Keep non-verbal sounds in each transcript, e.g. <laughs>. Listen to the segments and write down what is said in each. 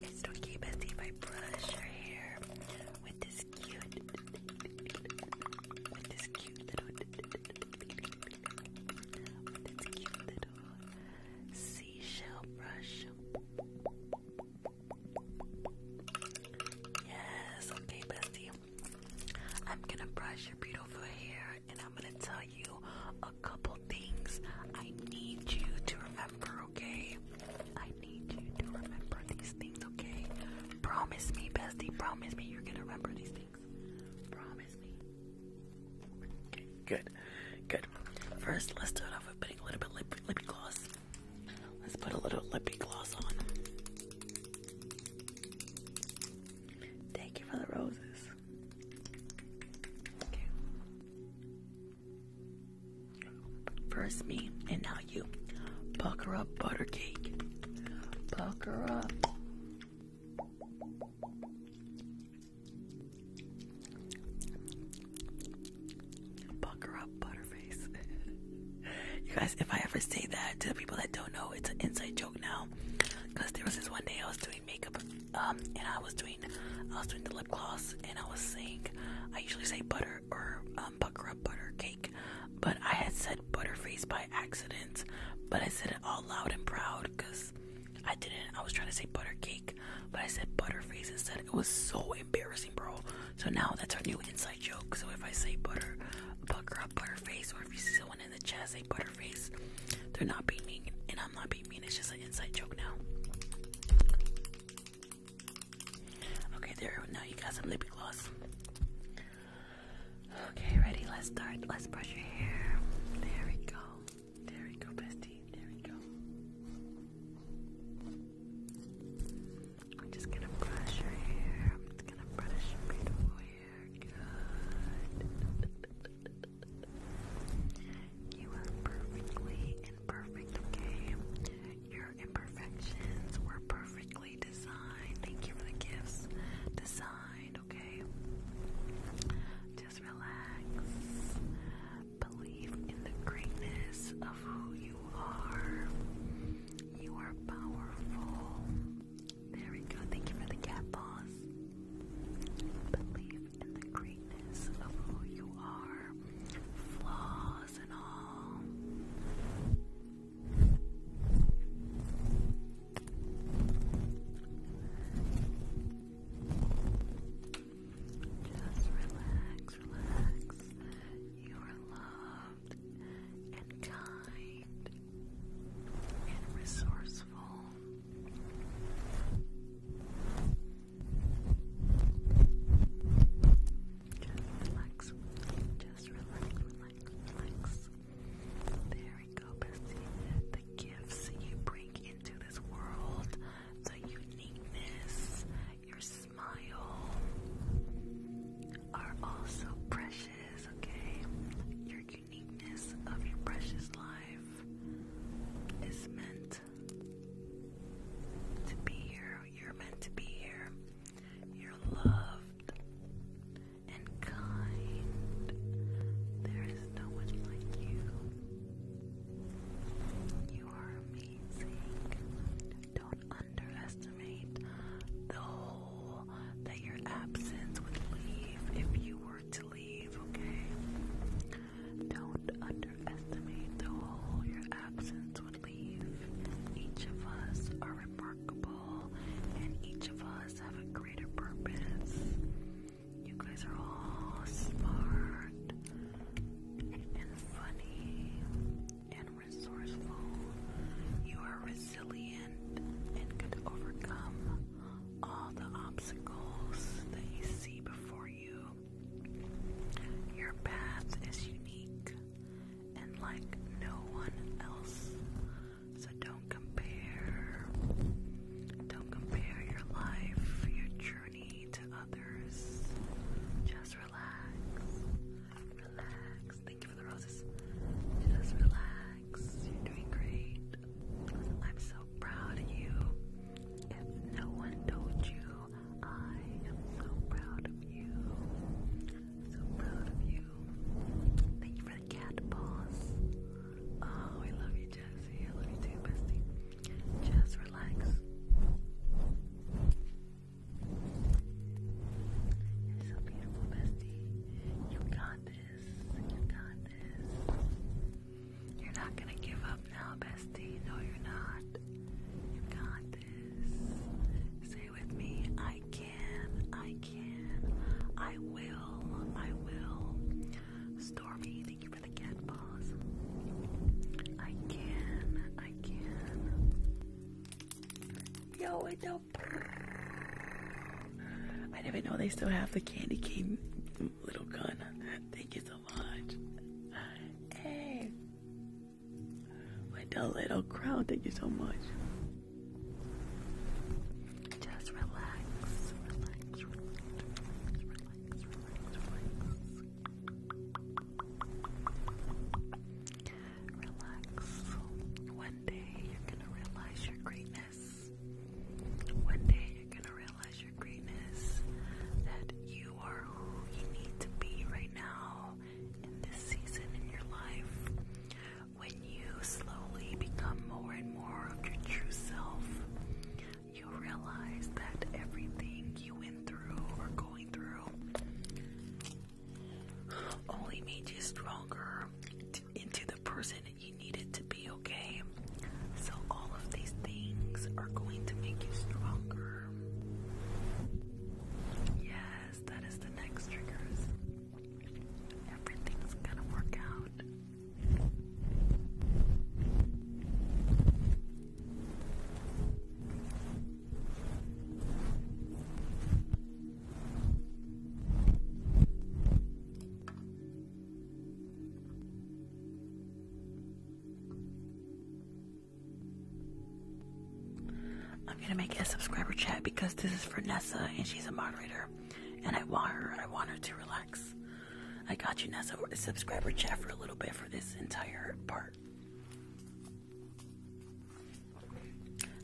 It's okay, Bessie, I brush your hair with this cute, with this cute little, seashell brush. Yes, okay, Bessie. I'm gonna brush your beautiful hair and I'm gonna tell you a couple things I need you to remember okay? I need you to remember these things, okay? Promise me, bestie, promise me you're gonna remember these things. Promise me. Okay, good, good. First, let's start off with putting a little bit lip lip gloss. Let's put a little lip gloss on. Thank you for the roses. Okay. First me and now you. Pucker up buttercake. cake. Pucker up. Pucker up butterface. <laughs> you guys, if I ever say that to the people that don't know, it's an inside joke now. Cause there was this one day I was doing makeup um and I was doing I was doing the lip gloss and I was saying I usually say butter or um butter cake but I had said butterface by accident but I said it all loud and proud because I didn't I was trying to say butter cake but I said butterface instead it was so embarrassing bro so now that's our new inside joke so if I say butter butter up butterface or if you see someone in the chat say butterface they're not being mean and I'm not being mean it's just an inside joke now Okay, there. Now you got some lip gloss. Okay, ready? Let's start. Let's brush your hair. There we go. There we go, bestie. There we go. I'm just gonna brush your hair. I'm just gonna brush your beautiful hair. Good. <laughs> You are perfectly Perfect. okay? Your imperfections were perfectly designed. Thank you for the gifts. Designed, okay? Just relax. Believe in the greatness of who you are. You are powerful. There we go. Thank you for the cat paws. Believe in the greatness of who you are flaws and all. Just relax, You are loved and kind and resourceful. Just relax. Just relax, relax, There we go, bestie. The gifts you bring into this world, the uniqueness, your smile are all so precious, okay? Your uniqueness of your precious life is meant to be here. You're meant to be here. You're loved and kind. There is no one like you. You are amazing. Don't underestimate the hole that your absence would leave if you were to leave, okay? Don't underestimate the hole your absence would leave. Each of us are remarkable, and each of us have a greater purpose. You guys are all smart and funny and resourceful. You are resilient and could overcome all the obstacles that you see before you your path is unique and like no one else. So don't compare. Don't compare your life, your journey to others. Just relax. Relax. Thank you for the roses. Just relax. You're doing great. I'm so proud of you. If no one told you I am so proud of you. So proud of you. Thank you for the cat paws. Oh, I love you, Jesse. I love you too, bestie. Just relax. You're so beautiful, bestie. You got this. You got this. You're not gonna give up now, bestie. No, you're not. You got this. Say with me, I can, I can, I will, I will. Stormy, thank you for the cat balls. I can, I can. Yo, it's a I didn't know they still have the candy cane little gun. Thank you so much. Hey, with the little crowd. Thank you so much. Just relax, relax, relax, relax, relax, relax, relax. One day you're gonna realize your greatness. One day you're gonna realize your greatness that you you who you need to be right now in this season in your life. When you slowly become more and more of your true self, you realize that everything you went through or going through only made you stronger into the person you needed to be, okay? So, all of these things are going to make you stronger over. Yes, that is the next triggers. Everything's gonna work out. I'm gonna make it a subscriber chat because this is for Nessa and she's a moderator, and I want her. I want her to relax. I got you, Nessa. A subscriber chat for a little bit for this entire part.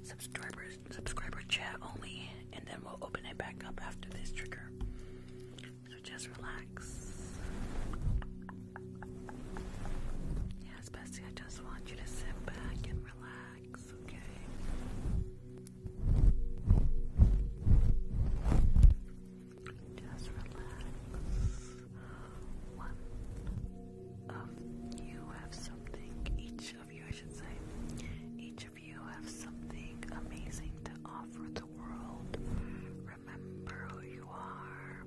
Subscribers, subscriber chat only, and then we'll open it back up after this trigger. So just relax. Yes, Bessie, I just want you to sit back and relax, okay? Just relax. One of you have something, each of you, I should say, each of you have something amazing to offer the world Remember who you are.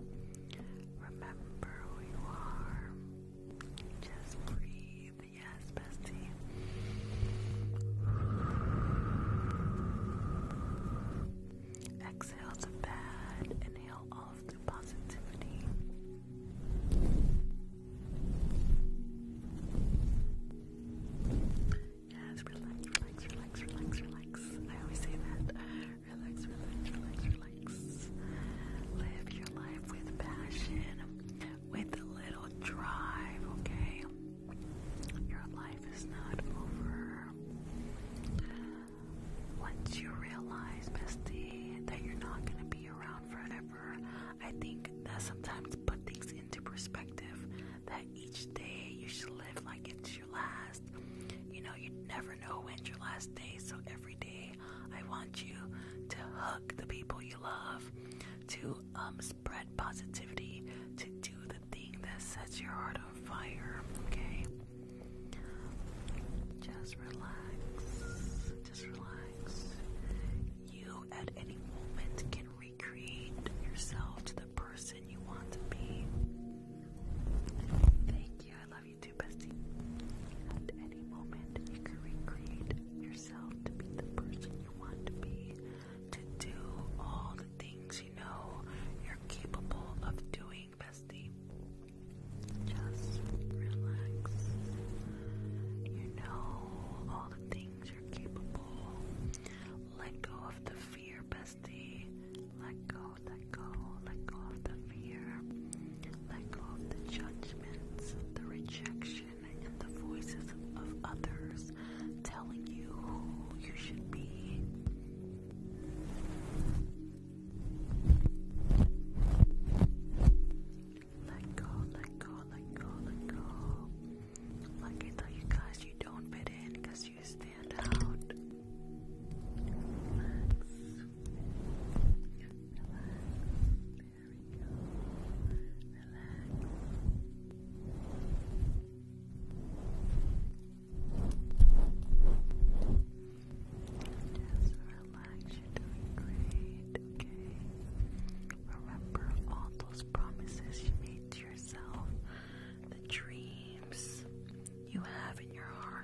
Remember who you are. Just breathe. Yes, bestie. Exhale the bad. Inhale all of the positivity. Yes, relax, relax, relax, relax, relax. I always say that. Relax, relax, relax, relax. Live your life with passion, with a little drive, okay? Your life is not over. Once you realize, bestie, that you're not gonna be around forever, I think that sometimes put things into perspective. That each day you should live like it's your last. You know, you never know when your last day. So every day, I want you to hug the people you love, to um, spread positivity, to do the thing that sets your heart on fire. Okay? Just relax. Just relax. You, at any moment, can recreate yourself to the person you want to be. Thank you. I love love you too, bestie. At any moment, you can recreate yourself to be the person you want to be, to do all the things you know you're capable of doing, bestie. Just relax. You know all the things you're capable. Let go of the fear, bestie. Let go, let go, let go of the fear. Let go of the judgments, the rejection, and the voices of others telling you who you should be. Let go, let go, let go, let go. Like I tell you don't fit in because just relax. You're doing great. Okay. Remember all those promises you made to yourself, the dreams you have in your heart.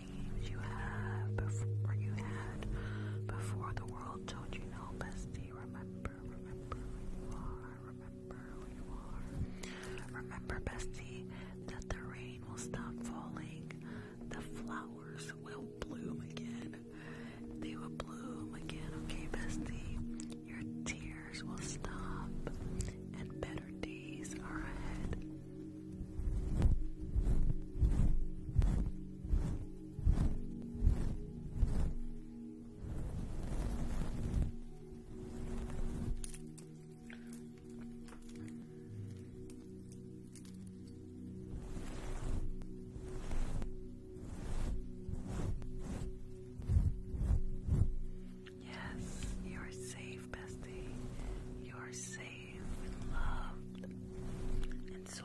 dreams you have before you had before the world told you no, bestie. Remember, remember who Remember who you are. Remember, bestie, that the rain will stop falling. The flowers will bloom again. They will bloom again, okay, bestie. Your tears will stop, and better days are ahead. Yes, you are safe, bestie. You are safe and loved and so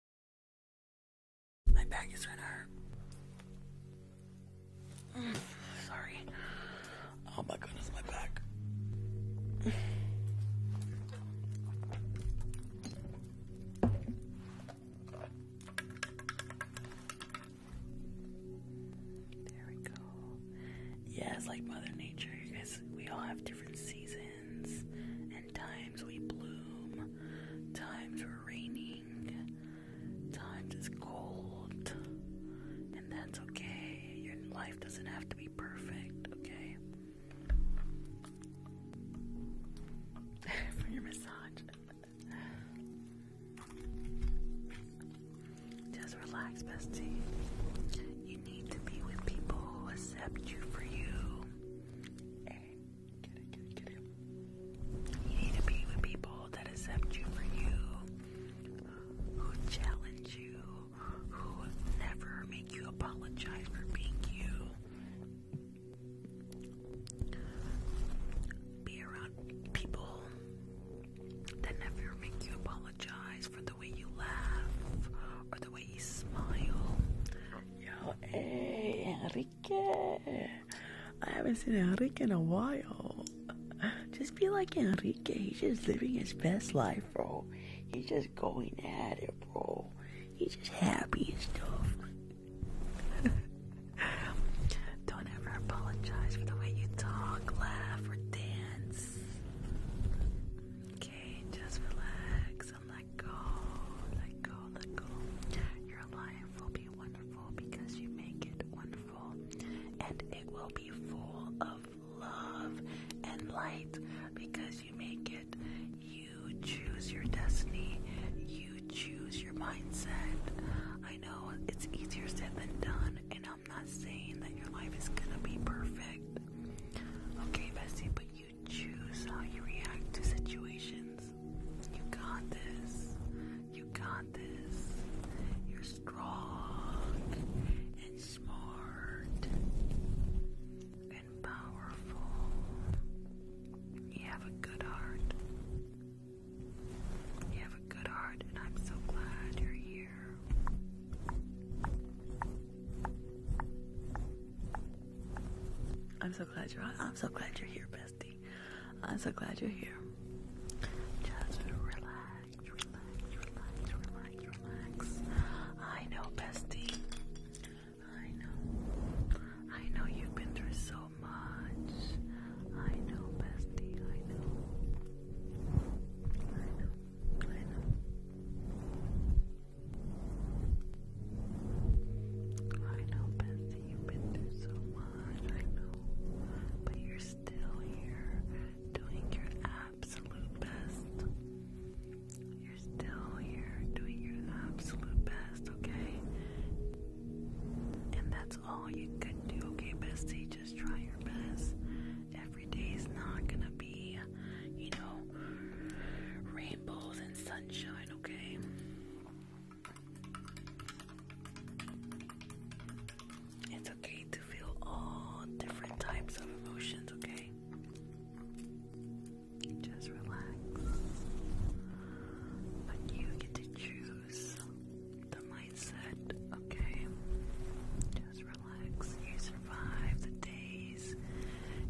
My back is gonna hurt. <sighs> Sorry. Oh my goodness, my back. There we go. Yeah, like Mother Nature, you guys. We all have different seasons and times we bloom, times we're raining, times it's cold, and that's okay. Your life doesn't have to be perfect, okay? <laughs> For your massage. Just relax, bestie. You need to be with people who accept you for you. You need to be with people that accept you for you, who challenge you, who never make you apologize for being you. Be around people that never make you apologize for the way you laugh or the way you smile. Yo, hey, Enrique. Enrique. I haven't seen Enrique in a while. Just be like Enrique. He's just living his best life, bro. He's just going at it, bro. He's just happy and stuff. <laughs> Don't ever apologize for the way you talk, laugh, or dance. Okay, just relax and let go. Let go, let go. Your life will be wonderful because you make it wonderful. And it will be full of love and light because you make it. You choose your destiny. You choose your mindset. I know it's easier said than done, and I'm not saying that your life is gonna be perfect. Okay, Bessie, but you choose how you react to situations. You got this. You got this. You're strong and smart and powerful. You have a good heart. You have a good heart, and I'm so glad you're here. I'm so glad you're I'm so glad you're here, Bess. I'm so glad you're here. Just relax, I know, bestie. I know. I know you've been through so much. I know, bestie. I know. I know. I know. I know, hard, I know, but you're still here doing your absolute best. You're still here doing your absolute best, okay? And that's all you can do, okay, bestie? Just try your best. Every day is not gonna be, you know, rainbows and sunshine, okay? It's okay to feel all different types of emotions, okay? Just relax. But you get to choose the mindset, okay? Just relax. You survive the days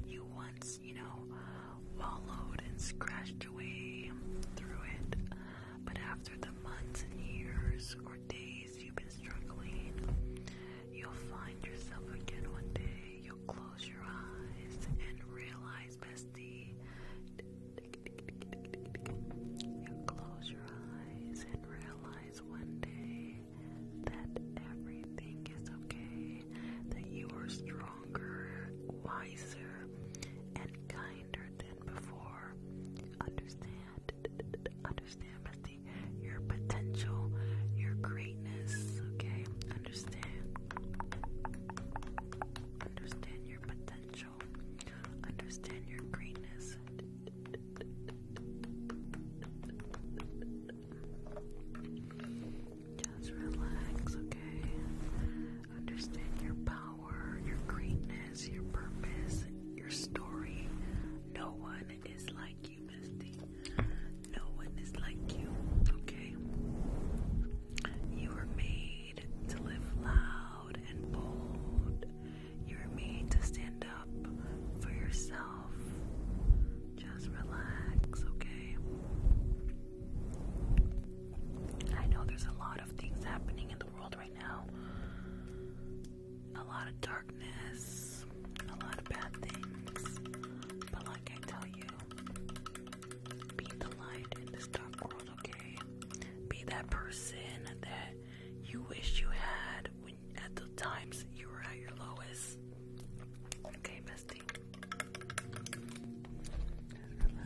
you once, you know, wallowed and scratched away through it. But after the months and years or days you've been struggling, you'll find yourself again one day. You'll close your eyes and realize, bestie. You'll close your eyes and realize one day that everything is okay, that you are stronger, wiser, and kinder than before. Understand, understand, Misty, your potential, your greatness, okay? Understand, understand your potential, understand your greatness. Just relax, okay? Understand your power, your greatness, your purpose, your story. No one is like you, Misty. No one is like you, okay? You were made to live loud and bold. You were made to stand up for yourself. Just relax, okay? I know there's a lot of things happening in the world right now. A lot of darkness, a lot of bad things. But like I tell you, be the light in this dark world, okay? Be that person that you wish you had when at the times you were at your lowest. Okay, bestie. Relax.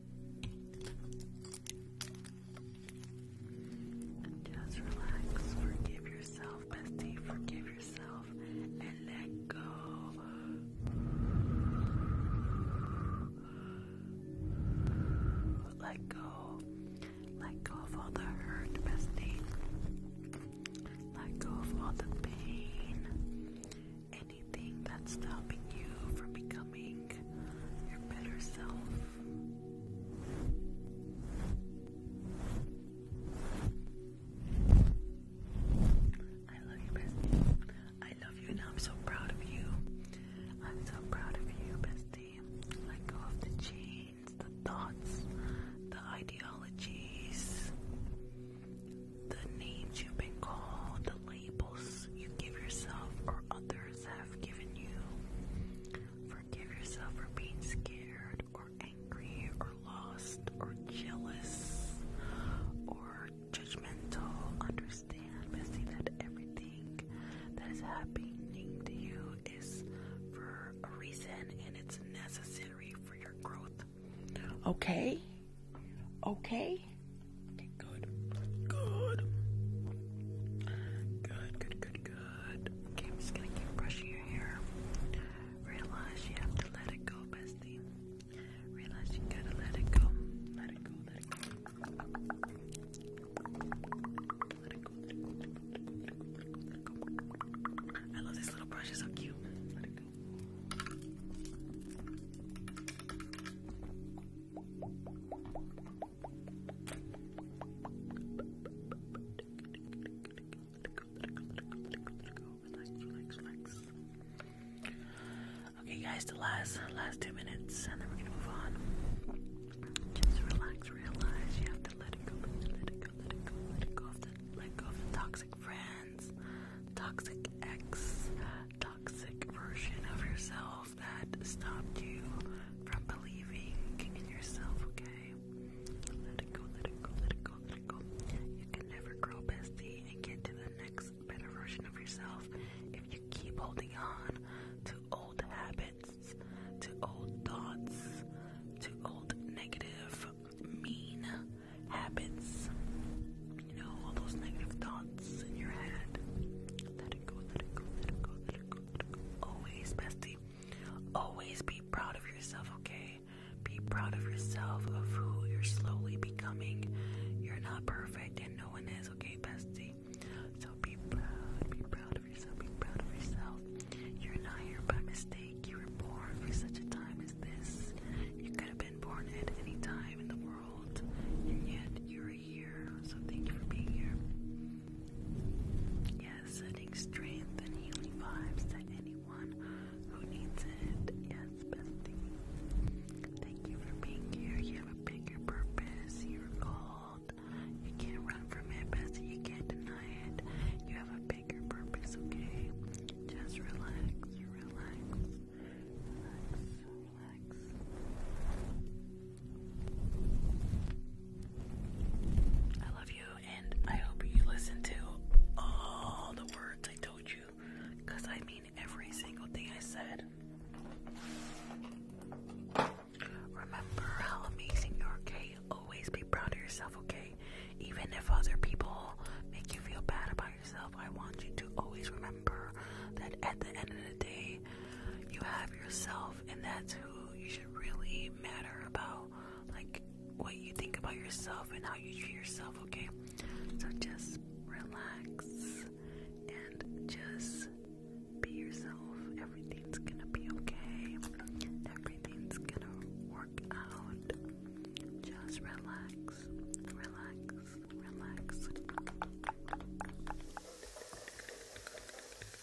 just relax, forgive yourself, bestie, forgive yourself, and let go. Let go. Let go of all the hurt, bestie. Let go of all the pain. Anything that's stopping you from becoming your better self. I love you, bestie. I love you, and I'm so proud of you. I'm so proud of you, bestie. Let go of the chains, the thoughts, the ideologies, the names you've been called, the labels you give yourself or others others have given you. Forgive yourself for being scared or angry or lost or jealous or judgmental. Understand, but see that everything that is happening to you is for a reason and it's necessary for your growth. Okay? Okay. Good. Good. Good, good, good, good. Okay, I'm just gonna keep brushing your hair. Realize you have to let it go, bestie. Realize you gotta let it go. Let it go, let it go. Let it go, let it go, I love this little brush, it's so cute. Okay, guys, the last last two minutes, and then we're gonna move on. Just relax, realize you have to let it go, let it go, let it go, let it go let go of the toxic friends, toxic ex, toxic version of yourself that stopped you from believing in yourself, okay? Let it go, let it go, let it go, let it go. You can never grow bestie and get to the next better version of yourself if you keep holding on to old habits, to old thoughts, to old negative, mean habits. You know, all those negative thoughts in your head. Let it go, let it go, let it go, let it go. Always, bestie. Always be proud of yourself, okay? Be proud of yourself, of who you're slowly becoming. You're not perfect, and no one is, okay, bestie? So be proud, be proud of yourself, be proud of yourself. You're not here by mistake. You were born for such a time as this. You could have been born at any time in the world, and yet you're so thank you for being here. Yes, sending strength and healing vibes to anyone who needs it. Yes, bestie. Thank you for being here. You have a bigger purpose. You're called. You can't run from it, bestie. You can't deny it. You have a bigger purpose, okay? Just relax, relax, relax, relax. I love you, and I hope you listen to all the words I told you because I mean every single thing I said. Remember how amazing you're, okay? Always be proud of yourself, okay? Even if other people make you feel bad about yourself, I want you to always remember that at the end of the day, you have yourself, and that's who you should really matter about. Like what you think about yourself and how you treat yourself, okay? So just relax and just be yourself. Everything's gonna be okay, everything's gonna work out. Just relax, relax, relax.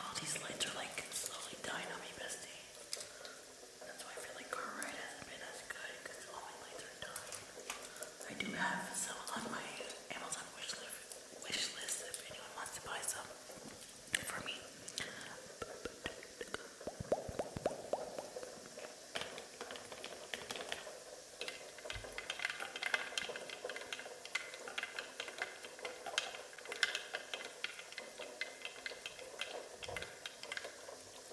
All these lights are like slowly dying on me, bestie. That's why I feel like car ride hasn't been as good because all my lights are dying. I do have some on my Amazon wish list, wish list if anyone wants to buy some for me.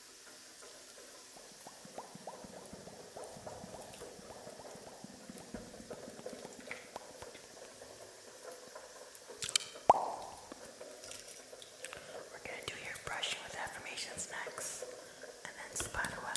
We're going to do your brushing with affirmations next, and then spider web.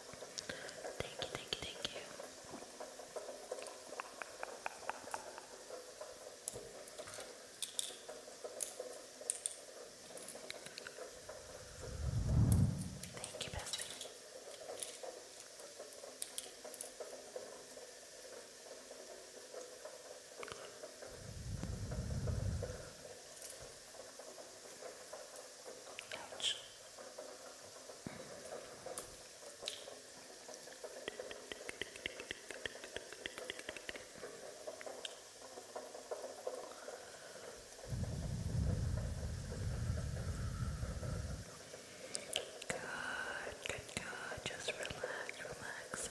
Thank you, thank you, thank you. Thank you, bestie. Ouch. Good, good, good. Just relax, relax. Good.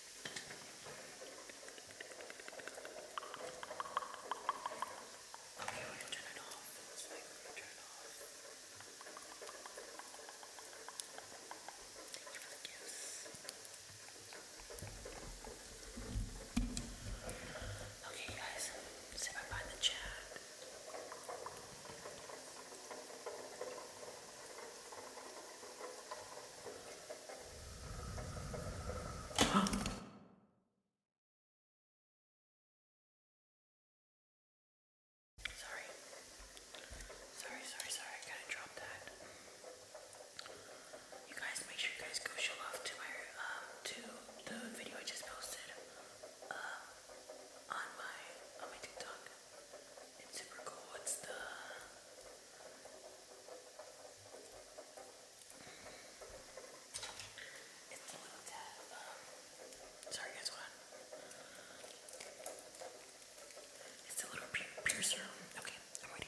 Okay, we're gonna turn it off. That's right, we're gonna turn it off. Thank you for the gifts. Okay, you guys, sit right by the chat. Okay, sorry. Sorry, sorry, sorry. I gotta drop that. You guys, make sure you guys go show off to my, um, to the video I just posted, um, on my, on my TikTok. It's super cool. What's the it's a little tab. sorry guys, what? It's a little pier Okay, I'm ready.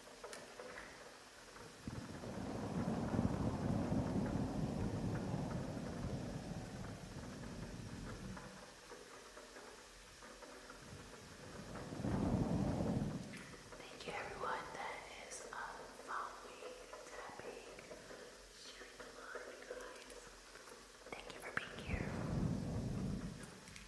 Thank you everyone that is uh, following, tapping, sharing the live, guys. Thank you for being here.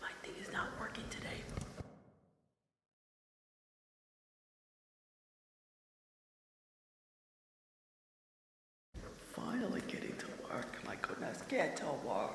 My thing is not working today. Finally getting to work. My goodness, get to work.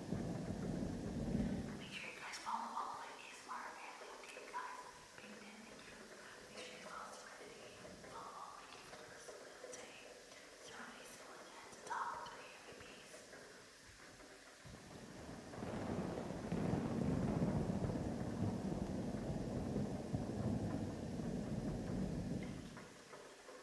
Make sure you guys follow all my ASMR family, okay guys? Big fan, thank you. Make sure you follow Serenity. Follow all my YouTubers. Day. Serenity still at the top three MVPs. Thank you.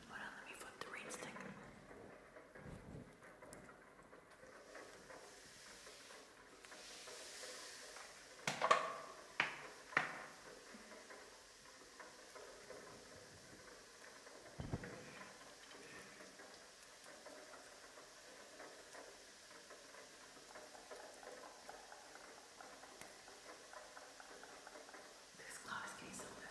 Hold on, let me flip the rain stick. This clock is getting so good.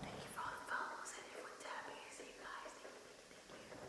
Thank you for all the follows and everyone tapping. I see you guys. Thank you, thank you, thank you.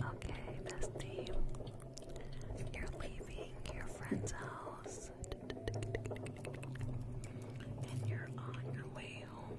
Okay, bestie, you're leaving your friend's house and you're on your way home.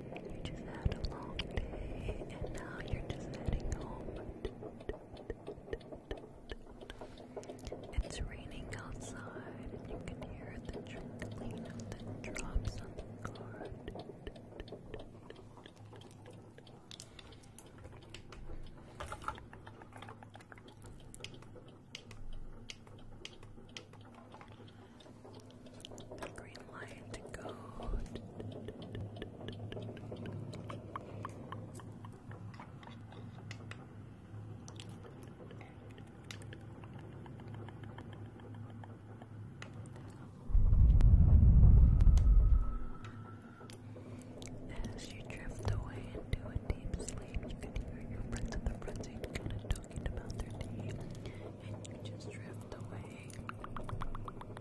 You just had a long day and now you're just heading home. It's raining outside and you can hear the trickling of the drops on the car. The green light to go. As you drift away into a deep sleep, you can hear your friends at the front seat kind of talking about their day, and you just drift away.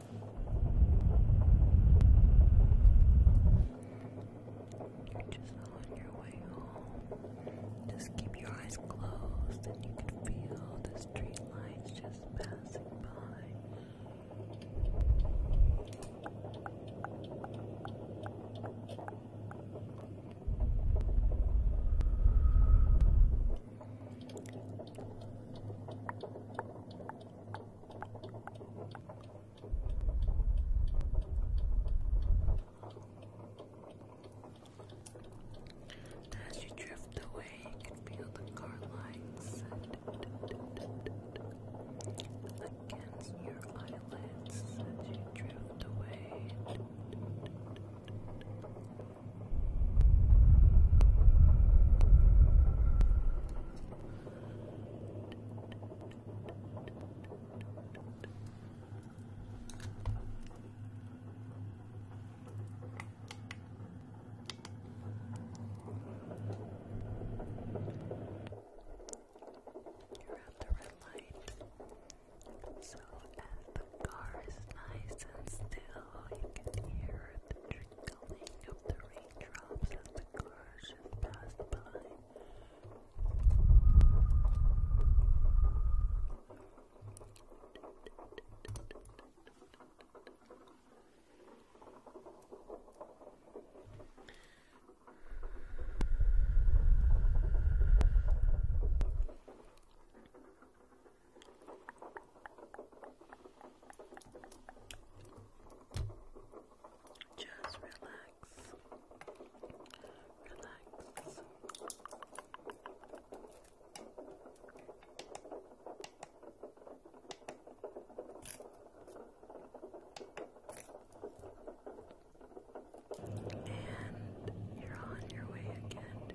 You're just on your way home. Just keep your eyes closed and you can feel the streetlights just passing by. As you drift away, you can feel the car lights against your eyelids as you drift away. You're at the red light. So as the car is nice and still, you can hear the trickling of the rain drops as the car just passed by. Just relax. Relax. And you're on your way again.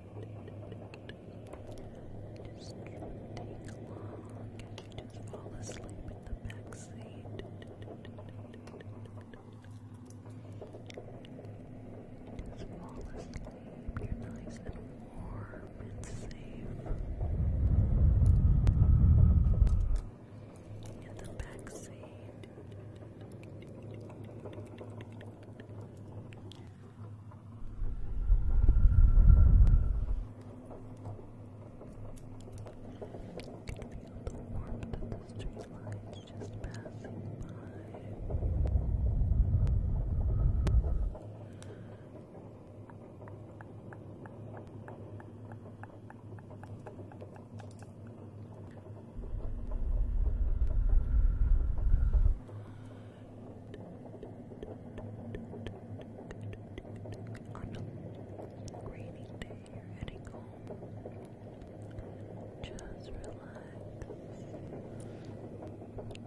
Just take a long like just fall asleep in the back seat. Just fall asleep. You're nice and warm and safe. In the back can feel the warmth of the street just passing by on a rainy day you're heading Just relax.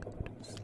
Go to sleep.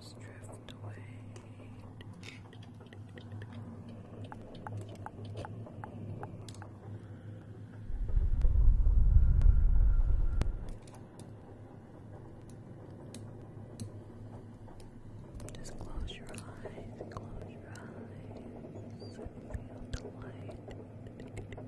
Just drift away. Just close your eyes, close your eyes, feel the light we're ten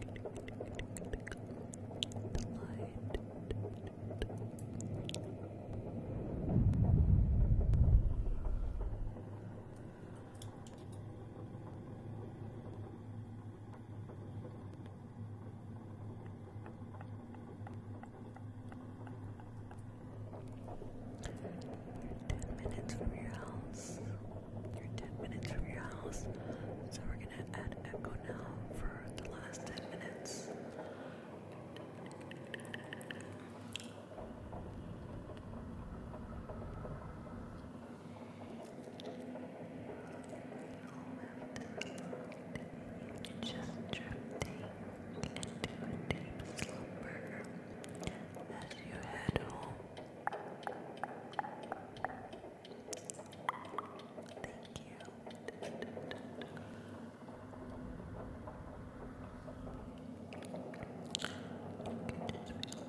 minutes from your house. You're 10 minutes from your house, so we're gonna add echo now for the last 10 minutes. Just drifting into a deep slumber as you head home. Thank you. You can just feel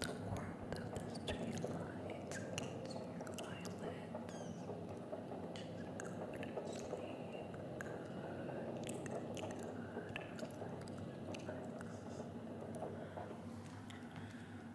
the warmth of the street lights against your eyelids. Just go to sleep. Good, good, good. Relax, relax.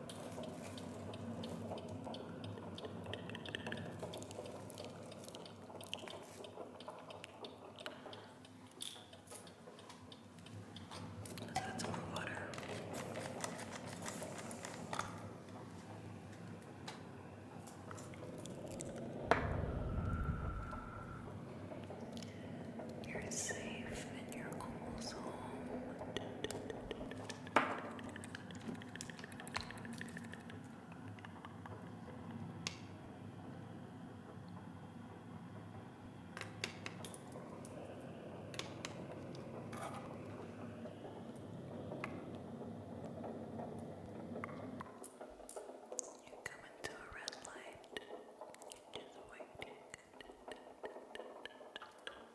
That's more You're safe and you're almost home. You come into a red light, just waiting.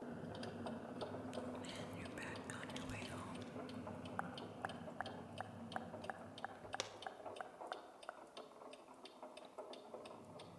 And you're back on your way home.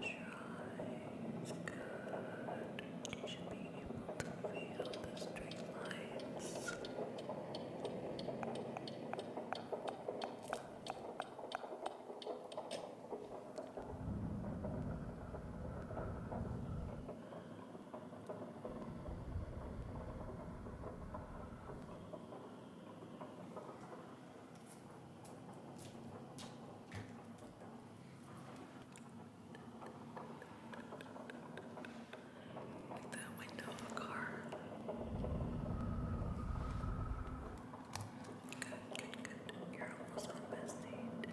Close your eyes. Good. You should be able to feel the straight like the window of a car. Good, good, good. You're almost on bestie. Good,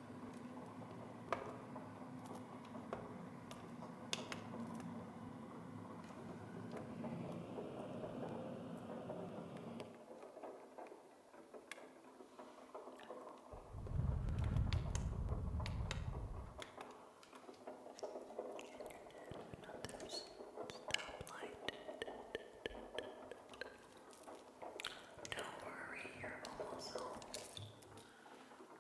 Another stoplight. Don't worry, you're almost home.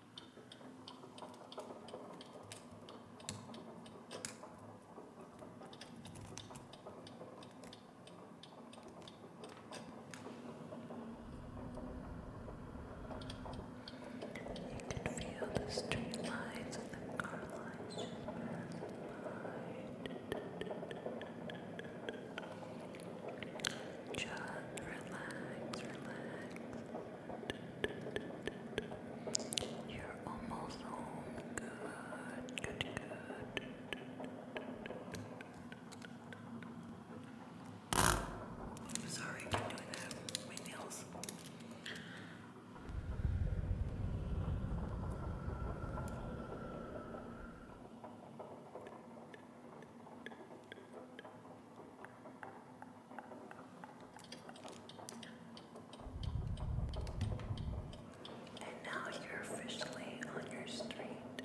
You can feel the street and the car lines Just relax, relax. You're almost home. Good, good, good. Sorry, i doing that my nails. And now you're officially on your street.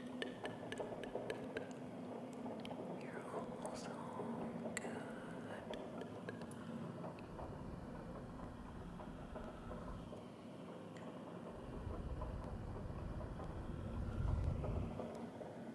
You're almost home. Good.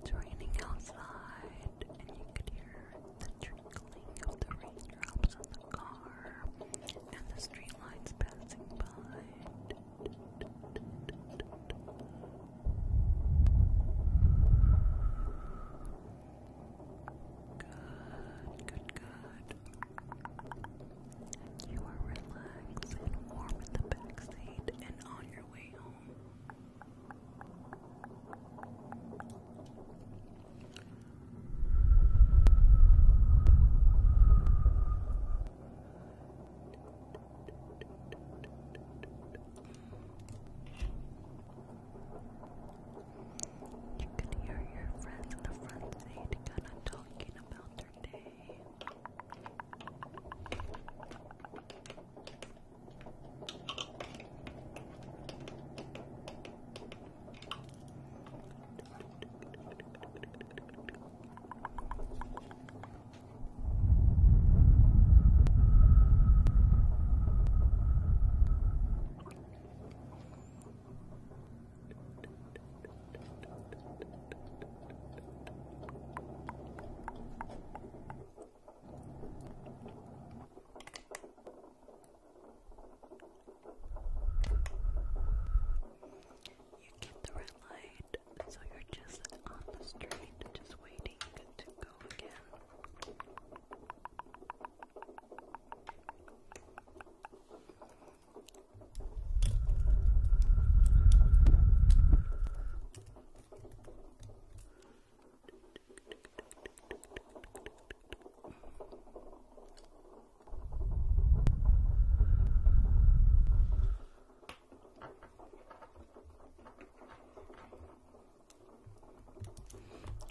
It's raining outside, and you could hear the trickling of the raindrops on the car and the streetlights passing by. Good, good, good. You are relaxed and warm in the backseat and on your way home. You could hear your friends in the front seat kind of talking about their day. You get the red light, so you're just on the street, just waiting to go again.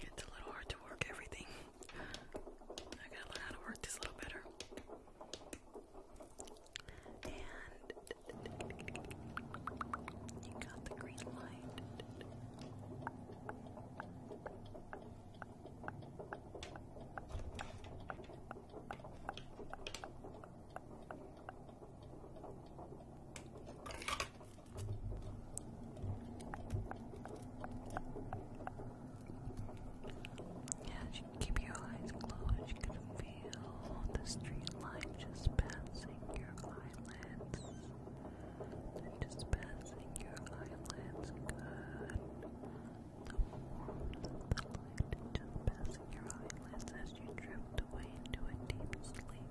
It's a little hard to work everything I gotta learn how to work this a little better. And you got the green light. Yeah, you keep your eyes closed. You can feel the street just passing your eyelids. just passing your eyelids. Good. The warmth of the light just passing your eyelids as you drift away into a deep sleep.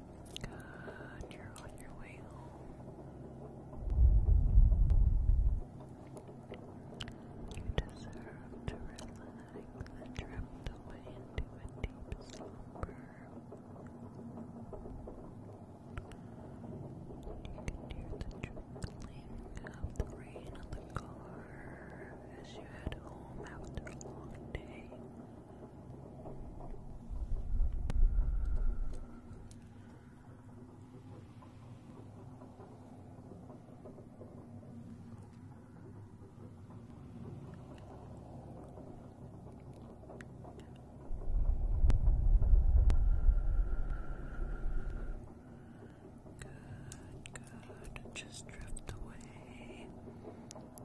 Good. You're on your way home. You deserve to relax and drift away into a deep slumber. You can hear the trickling of the rain on the car as you head home after a long day. Good, good. Just drift away. You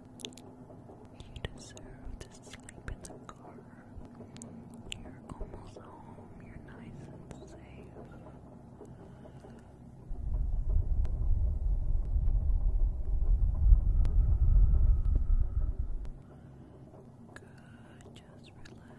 deserve to sleep in the car. You're almost home. You're nice and safe. Good, just relax.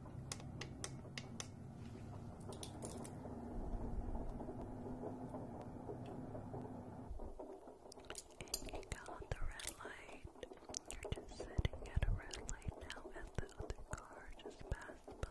And you got the red light. You're just sitting at a red light now as the other car just passed by.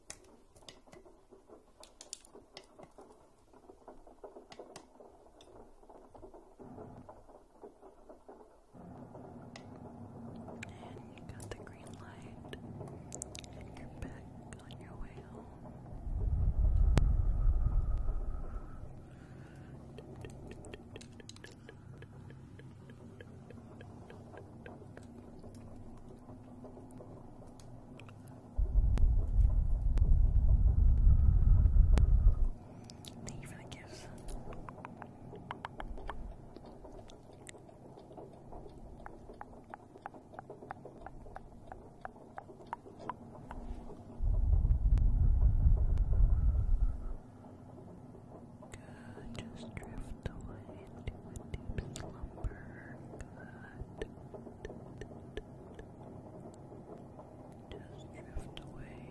And you got the green light, and you're back on your way home. Thank you for the gifts. Just drift away into a deep slumber. Just drift away.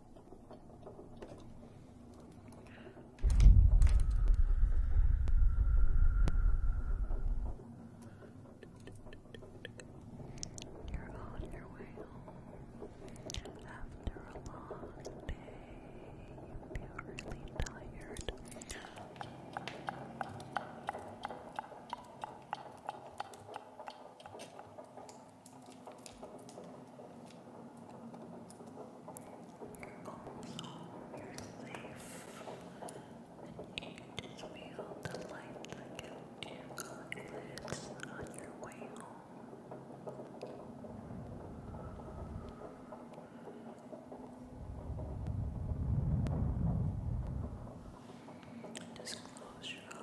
You're on your way home after a long day. You're really tired. You're safe. And you just feel the light that gives you on your way home. Just close your eyes.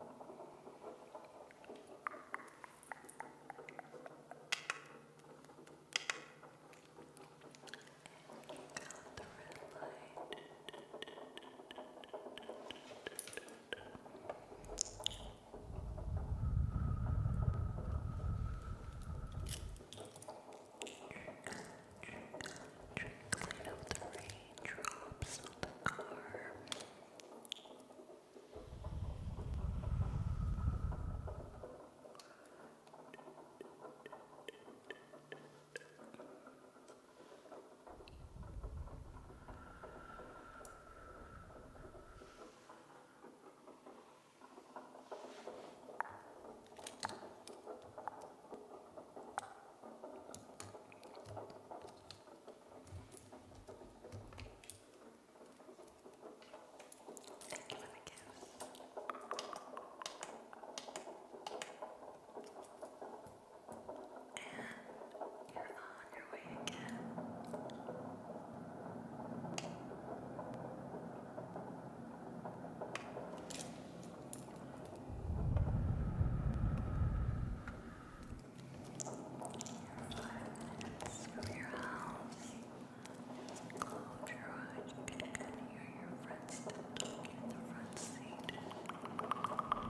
Got the red light. Trickling up the rain raindrops on the car. Thank Thank you for the gifts. And you're on your way again. Thank you Five minutes from your house. Close your eyes. You can hear your friends still talking in the front seat. Relax.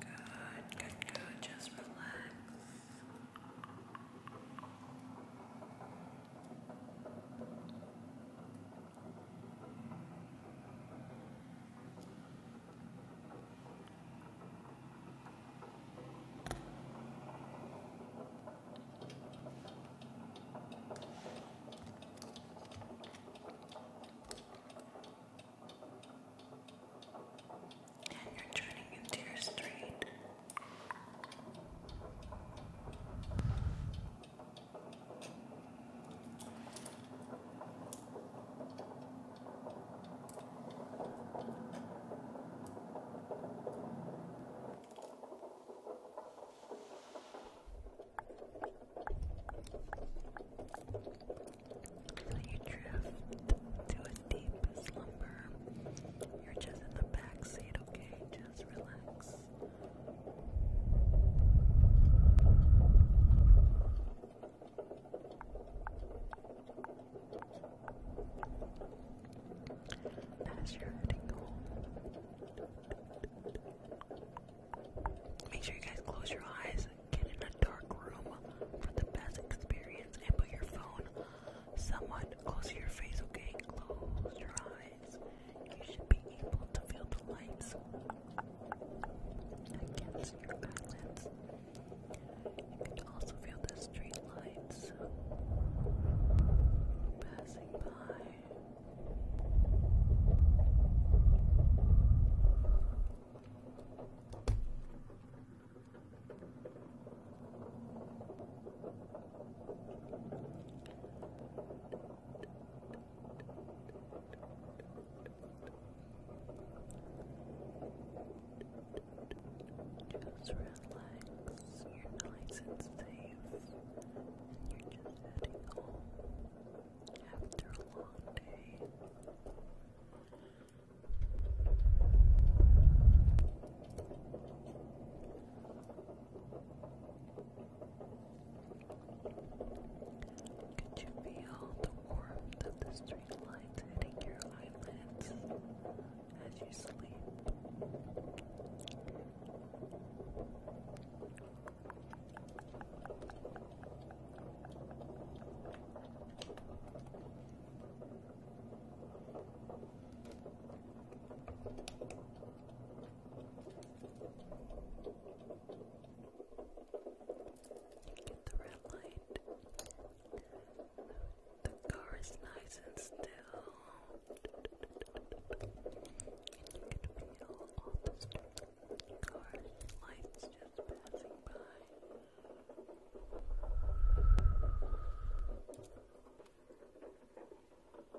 Good, good, good. Just relax. Good. And you're turning into your street. So you drift to a deep slumber. You're just in the back seat, okay? Just relax. As you're heading home, make sure you guys close your eyes, get in a dark room for the best experience, and put your phone somewhat close to your face, okay? Close your eyes eyes, you should be able to feel the lights against your eyelids. You can also feel the street lights passing by. Just relax, you're nice and safe, and you're just heading home after a long day. Just could you feel the warmth of the street hitting your eyelids as you sleep? The red light. The car is nice and still. And you can feel all the car lights just passing by. Thank you you're in the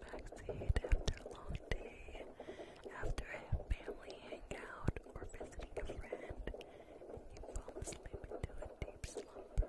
backseat after a long day, after a family hangout or visiting a friend, and you fall asleep into a deep slumber.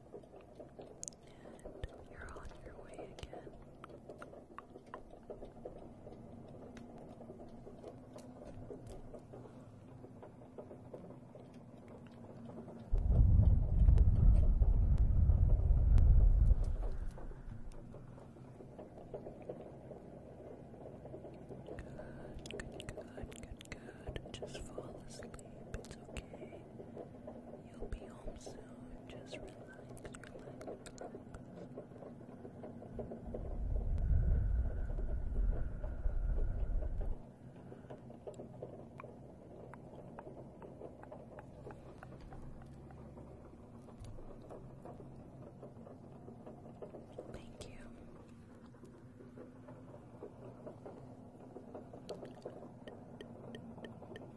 And you're on your way again. Good, good, good, good, good. Just fall asleep. It's okay. You'll be home soon. Just relax, Thank you.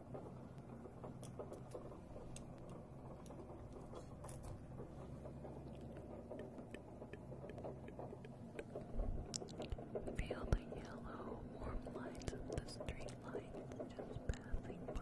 Feel the yellow, warm lights of the street just passing by.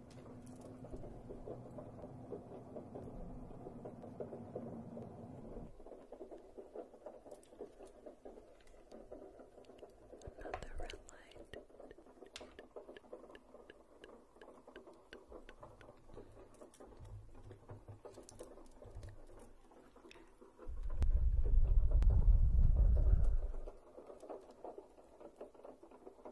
Another red light. Another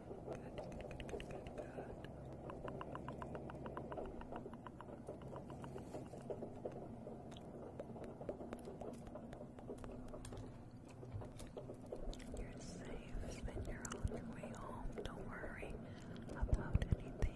good, You're safe you're on your way home. Don't worry about anything.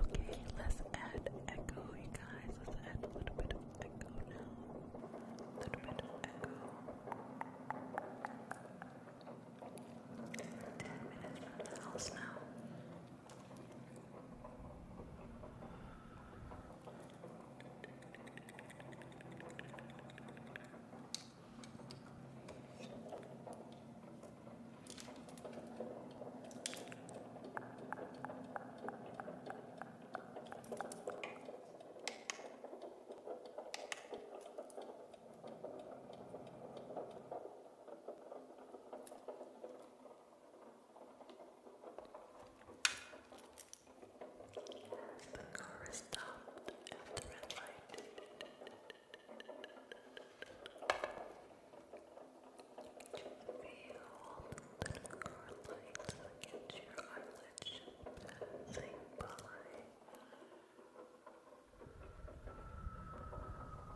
Okay, let's add echo, you guys. Let's add a little bit of echo now. A little bit of echo. Ten minutes from the house now. The car is stopped at the red light. Feel the little curlies against your eyelids passing by. Relax, relax. Relax.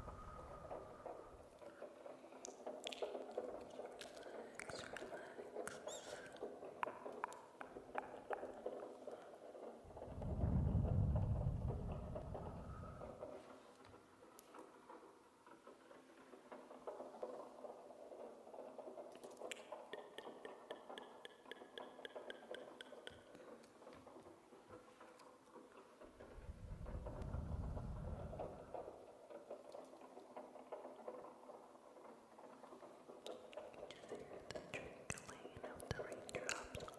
Just hear the trickling of the raindrops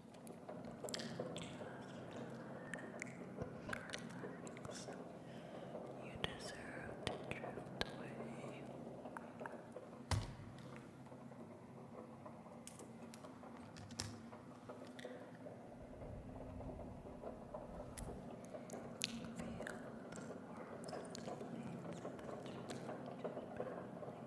Relax. You deserve to drift Feel the warmth of the lights that you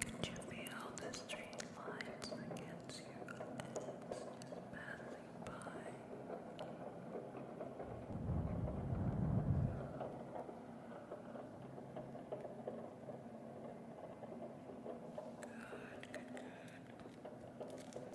Could you feel the street against your eyes just passing by? Good, good, good.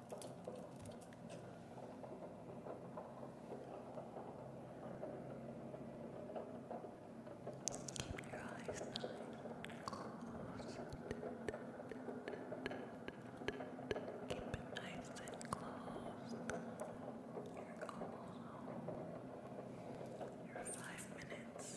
Keep your eyes nice and closed. Keep it nice and closed. You're almost home. You're five minutes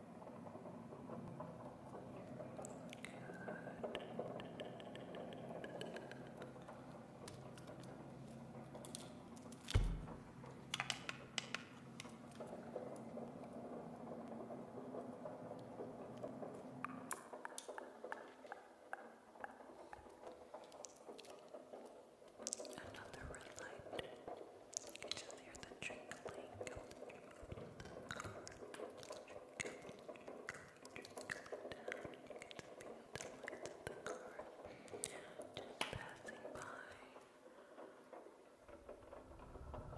Another red light just hear the trickling. Trickling down. You get to feel the light of the car just passing by. Thank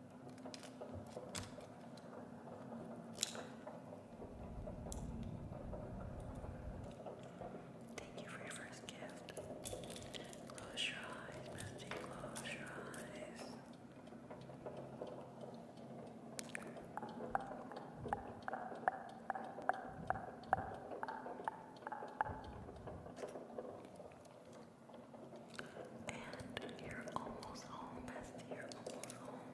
Thank you for your first gift. Close your eyes, Bestie. Close your eyes. And you're almost home, Bestie. You're almost home.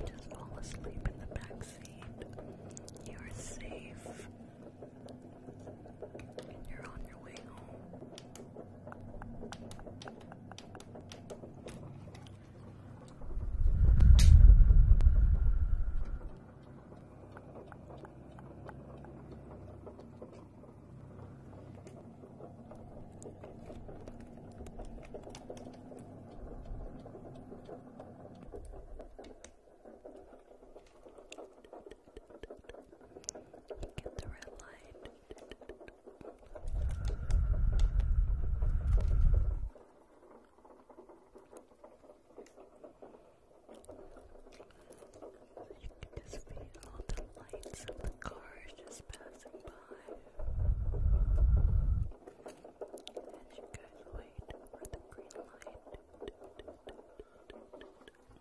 Just fall asleep in the back You are safe and you're on your way home. Get the red light. You can just feel all the lights of the cars just passing by. As you guys wait for the green light. And you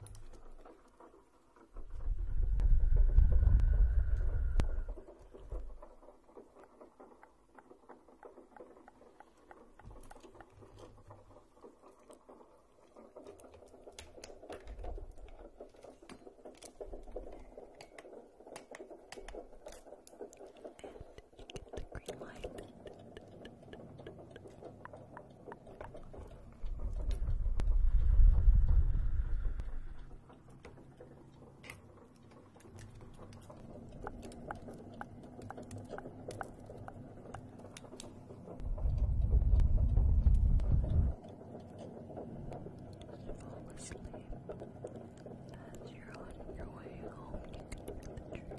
get the green light. Flawlessly, as you're on your way home, you can hear the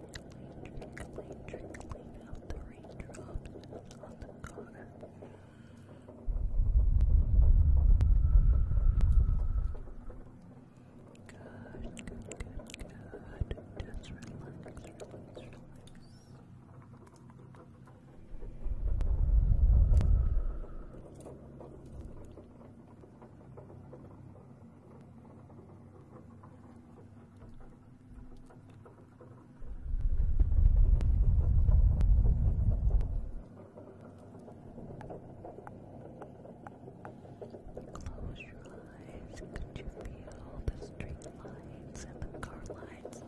trickling, trickling, trickling out the raindrops on the car. Good, good, good, good. Just relax, relax, relax. Good, Close your eyes. Could you feel the streetlights and the car lights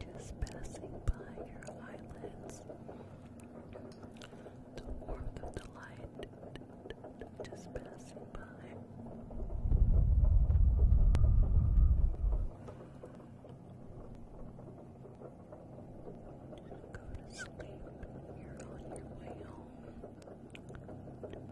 just passing by your eyelids? The warmth of the light just passing last bullet. And go to sleep. You're on your way home. Good, good.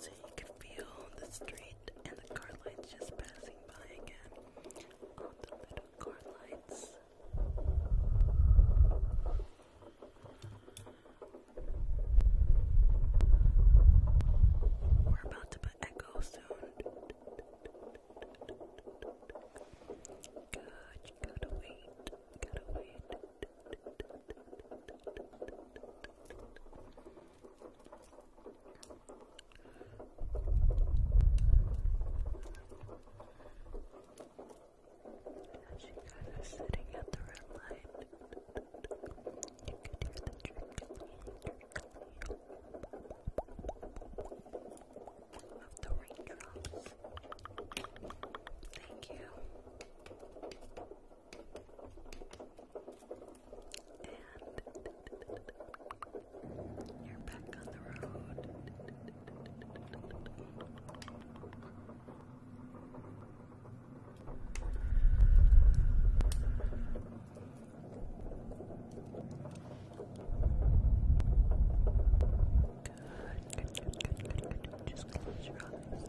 So you can feel the street and the car lights just passing by again. All the little car lights. We're about to put echo soon. Good, you gotta wait, you gotta wait. As you guys are sitting at the red light, you can hear the trickling, trickling of the raindrops. Thank you. you're back on the road. Good, good, good, good, good, good. Just close your eyes. Good.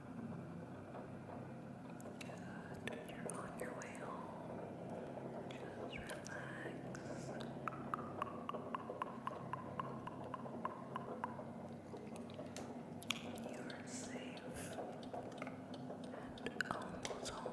Good. You're on your way home. Just relax. You are safe and almost home.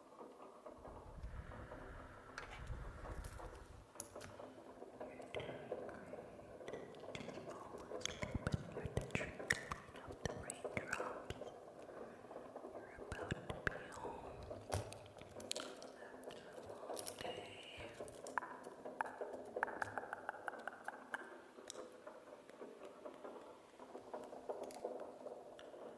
the trickling of the raindrops. You're about to be home after a long day. Relax.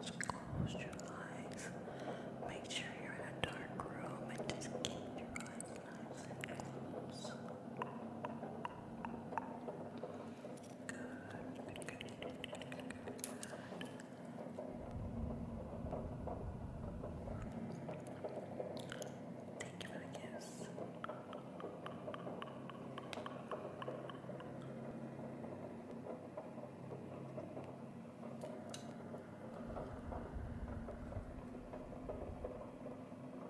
Just close your eyes. Make sure you're in a dark room and just keep your eyes nice and close. Good, good, good, good. Thank you for the kiss. Good.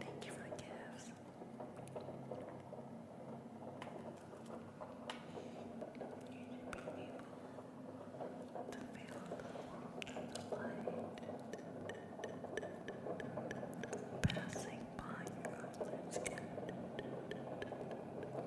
Thank you for the gifts. You should be able to feel the light passing by your skin.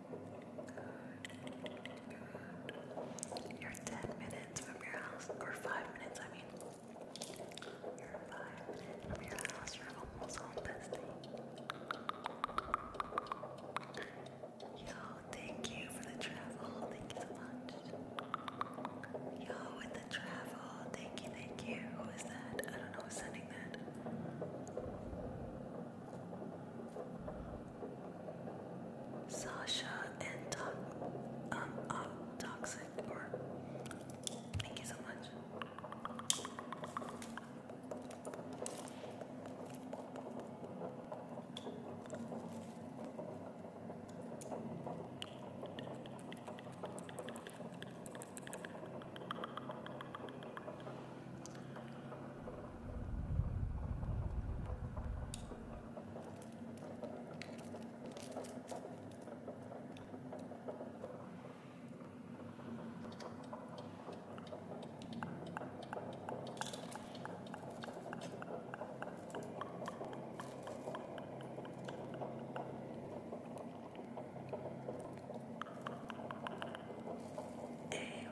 Good. You're 10 minutes from your house, or 5 minutes, I mean. You're 5 minutes from your house, you're almost home, bestie. Yo, thank you for the travel, thank you so much. Yo, with the travel, thank you, thank you. Who is that? I don't know who's sending that. Sasha and Doc, um, uh, Toxic, or thank you so much. A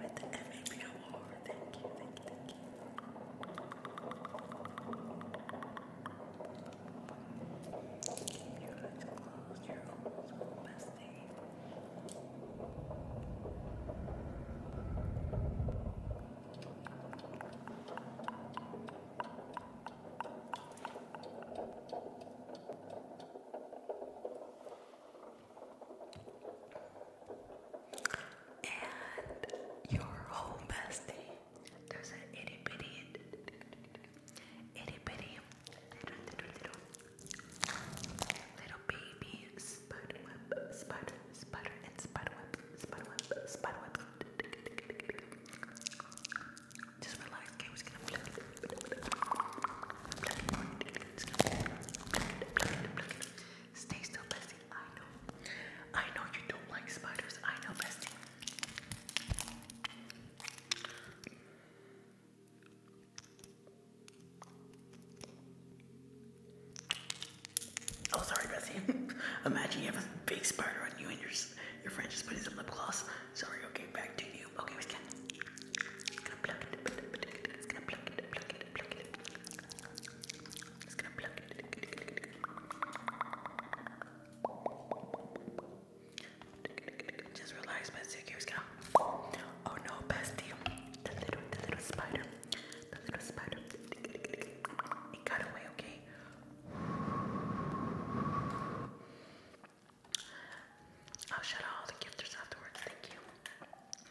with the M A P Lord. Thank you, thank you, thank you. Your eyes are closed, you're almost home, bestie. Thank and your whole bestie. There's an itty bitty, itty bitty, little, little, little baby spiderweb, spider, spider, and spiderweb, spiderweb, spiderweb. Just relax, okay? we gonna. Stay still, bestie. I know. I know you don't like spiders. I know, bestie. Oh, sorry, Bessie. <laughs> Imagine you have a big spider on you and your your friend just putting some lip gloss. Sorry. Okay, back to you. Okay, we can. Just relax, bestie. Here we Oh no, bestie. The little, the little spider. The little spider. It got away, okay? I'll shut all the gifters afterwards. Thank you.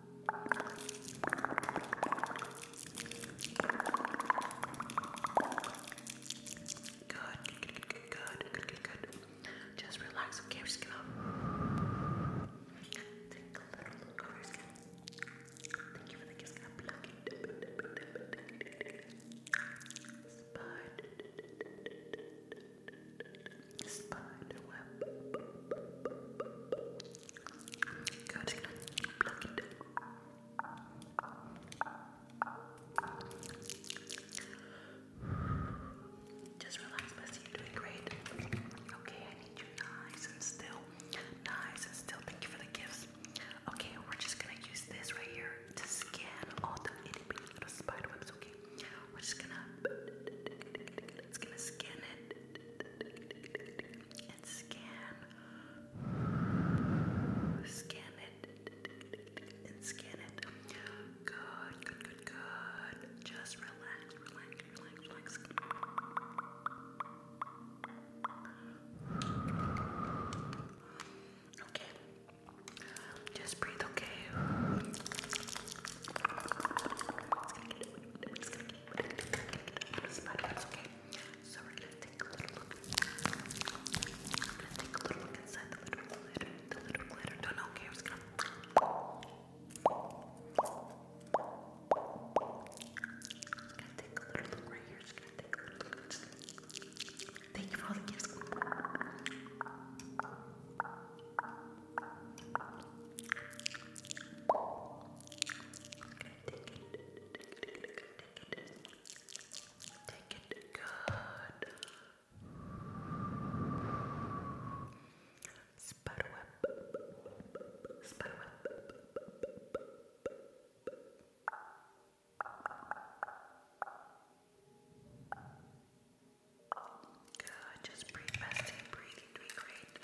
Good, good, good, good, good, good, good, Just relax, okay? just gonna take a little look over your skin. Thank you for the kiss. Gonna pluck Spider. Spider web. God's gonna pluck you doing great. Okay, I need you nice and still. Nice and still. Thank you for the gifts. Okay, we're just gonna use this right here to scan all the itty bitty little spider webs. Okay, we're just gonna. It's gonna scan it scan. Scan it and scan it. Good, good, good, good. Just relax, relax, relax, relax. Okay. Just breathe, okay? So we're gonna take a little look. inside the little glitter, the little glitter. Don't know, okay, I'm gonna i to take a little look right here. Just gonna take a little look. Thank you for all the gifts. Take it good. Spiderweb. Spiderweb. Good. Just breathe, bestie. Breathe. You're doing great.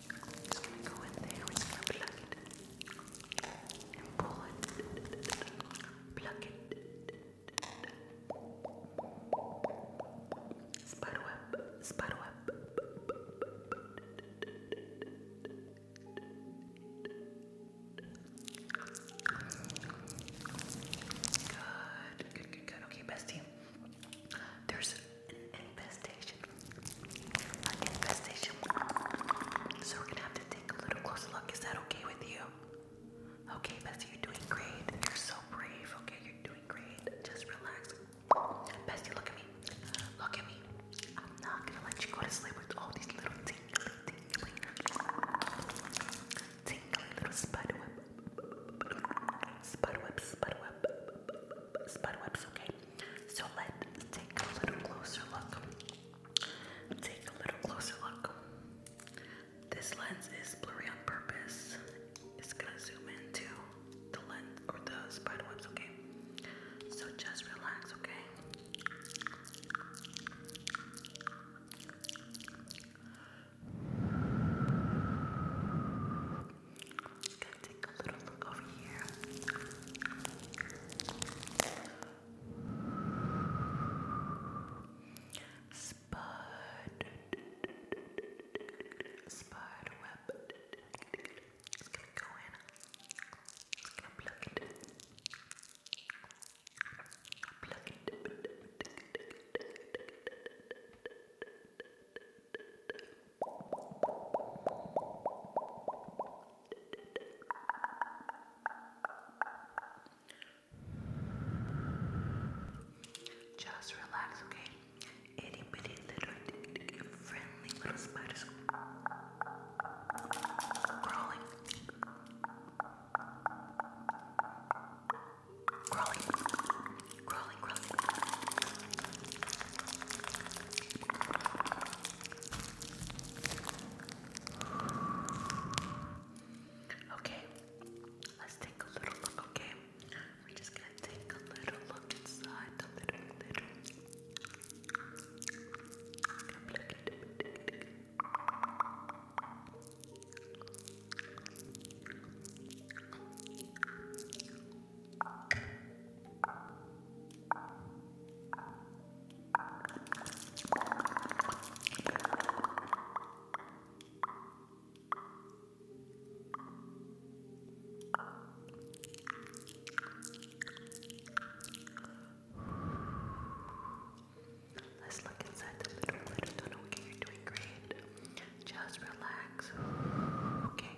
It's gonna go in there, it's gonna pluck it and pull it, pluck it, spider web, spider web. Good, good, good, good. Okay, bestie there's an infestation. An infestation. So we're gonna have to take a little closer look. Is that okay with you? Okay, Bessie, you're doing great. You're so brave. Okay, you're doing great. Just relax. Bessie, look at me. Look at me. I'm not gonna let you go to sleep with all these little tingly, tingly, tingly little spider web, spider webs, spider web, spider webs. Okay, so let's take a little closer look. Take a little closer look. This lens is blurry on purpose. It's gonna zoom into the lens or the spiderwebs, okay? So just relax, okay? Gonna take a little look over here. Spud, spud web. It's gonna go in. It's gonna plug it. Plug it. Just relax, okay? Itty bitty little friendly little spiders crawling, crawling, Crawling, crawling. Okay, let's take a little look, okay? We're just gonna take a little look inside the little, little. Okay. Let's look inside the little window. Okay, you're doing great. Just relax. Okay.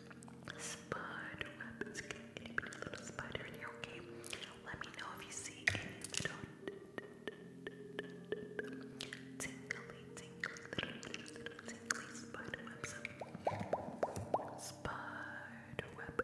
spider webs. Get any little spider in here, okay? Let me know if you see any little tingly, tingly, little, little, spider webs. Spider web.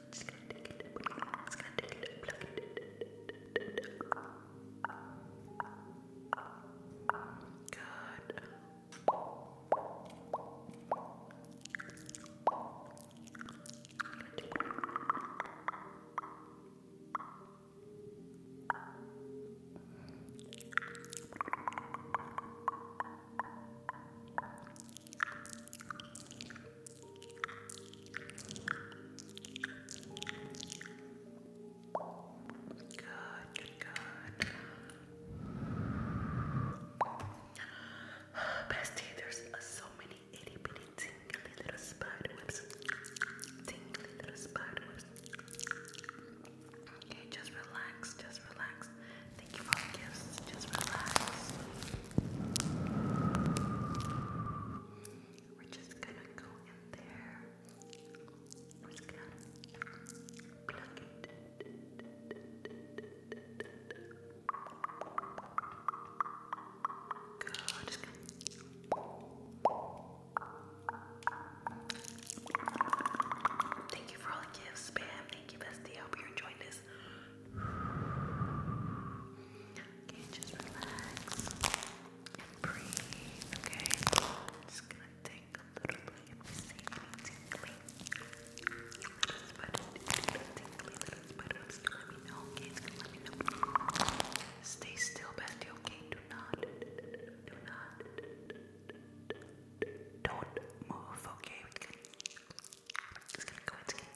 Just going Good. Bestie, there's so many itty bitty tingly little spider webs. Tingly little spider Okay, just relax, just relax. Thank you for the gifts. Just relax. We're just gonna go in there. We're just gonna plug it. Thank you for all the gifts, Pam. Thank you, bestie. I hope you're enjoying this just relax and breathe, okay? Just gonna take a little bit and see any tingly. Little spider, little tingly, little spider. let me know, let me know. Stay still, bestie, okay? Do not, do not, don't move, okay? just gonna go, it's going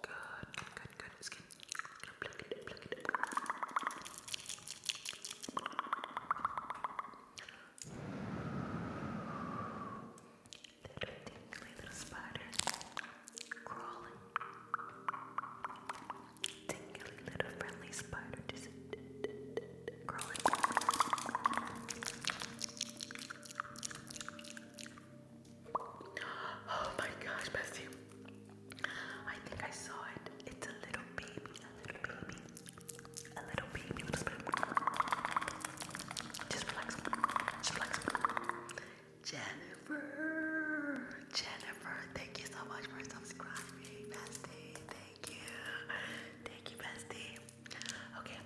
good, good. It's good. Plug it up, plug it up. Little tingly little spiders crawling Tingly little friendly spider just crawling. Oh my gosh, bestie. I think I saw it. It's a little baby, a little baby, a little baby, Just relax, just relax. Jennifer. Jennifer, thank you so much for subscribing, bestie. Thank you. Thank you, bestie. Okay,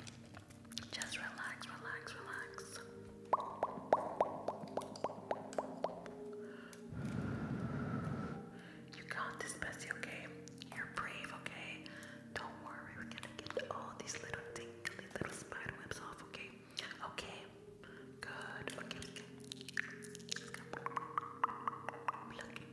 just relax, relax, relax. You got this, bestie, okay? You're brave, okay? Don't worry, we're gonna get all these little tingly little spider webs off, okay? Okay, good. Okay, okay. Pluck Good.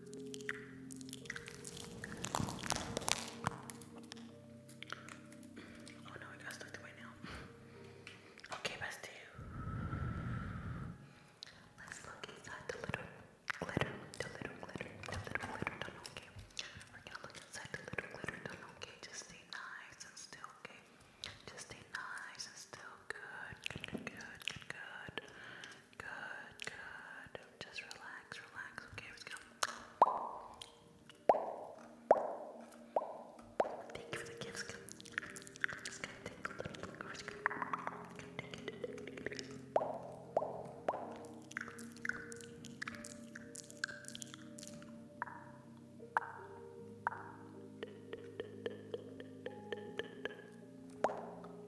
Oh no, I gotta start the way now. Okay, bestie. Let's look inside the little glitter, the little glitter, the little glitter okay? We're to look inside the little glitter okay? Just stay nice and still, okay? Just stay nice and still. good, good, good. Good, good. Just relax, relax. Okay, let's go. Thank you for the gifts. Just gonna take a little bit. Just gonna take it. Good,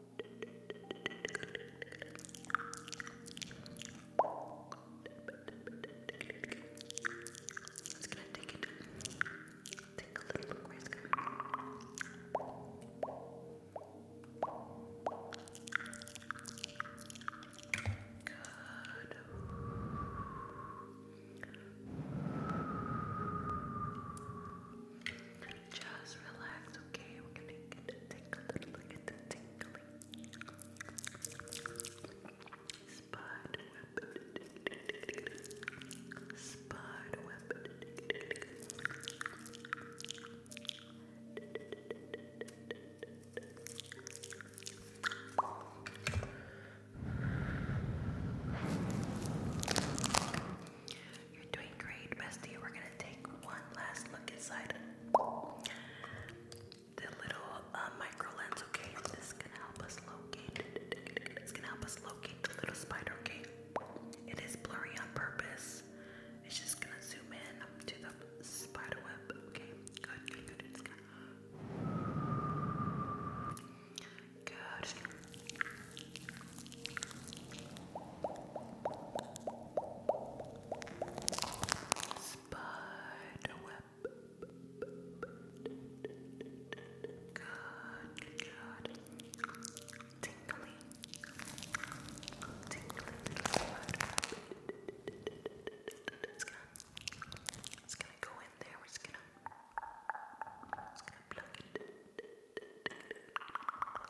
just gonna take it, take a little look where it's going. Good. Just relax, it's okay. We're gonna take a little look at the tingling spot weapon. You're doing great, bestie. We're gonna take one last look inside the little uh, micro lens, okay? This is gonna help us locate. It's gonna help us locate the little spider, okay? It is blurry on purpose. It's just gonna zoom in to the spider web, okay? Good, good, Good. Spider web. Good, good. Tingly. Tingly, It's gonna, it's gonna go in there. We're just gonna, it's gonna plug it.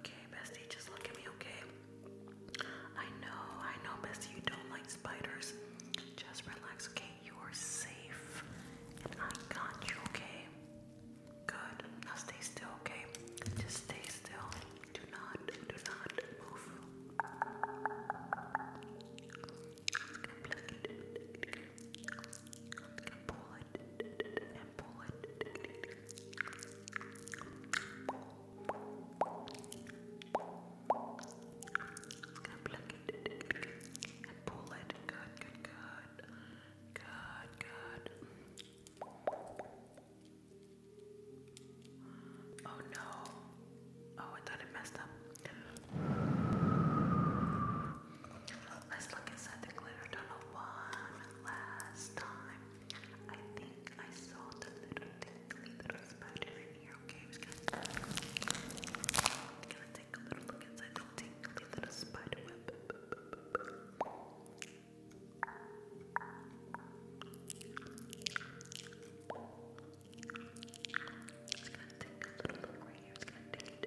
Okay, bestie, just look at me, okay? I know, I know, bestie, you don't like spiders. Just relax, okay? You are safe. And I got you, okay? Good. Now stay still, okay? Just stay still. Do not, do not move. Just gonna pluck it and pull it. Good, good, good. Good, good. Oh no. Oh, I thought it messed up. Let's look inside the glitter tunnel one last time. I think I saw the little tingly little spider in here, okay? We're gonna take a little look inside the tingly little spider web. It's gonna take a little look right here. It's gonna take it.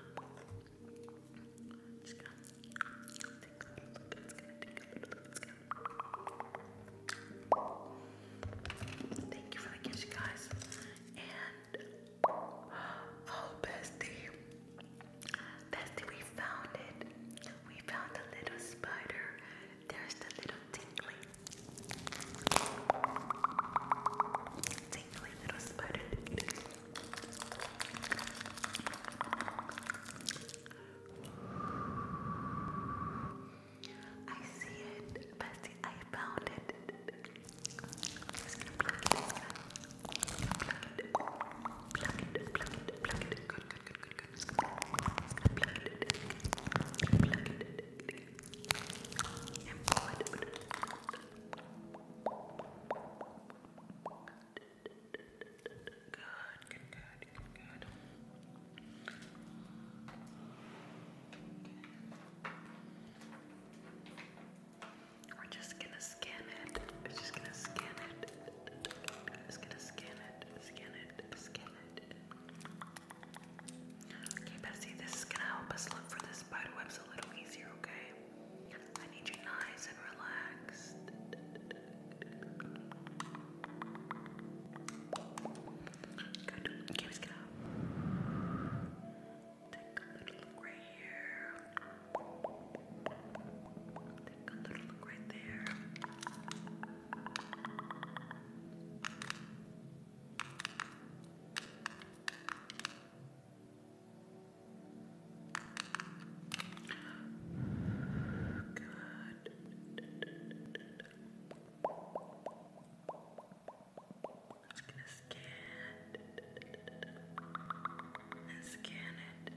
Thank you for the kiss you guys. And oh bestie. Bestie, we found it. We found the little spider. There's the little tingling angry little I see it, Bessie. I found it. just gonna good, good, good. We're just gonna scan it. We're just gonna scan it. Just gonna scan it, scan it, scan it. Okay, Bessie, this is gonna help us look for this spider web lives a little easier, okay? I need you nice and relaxed. Good. Okay, let's get up. Take a little look right here. Take a little look right there. Good i gonna scan it.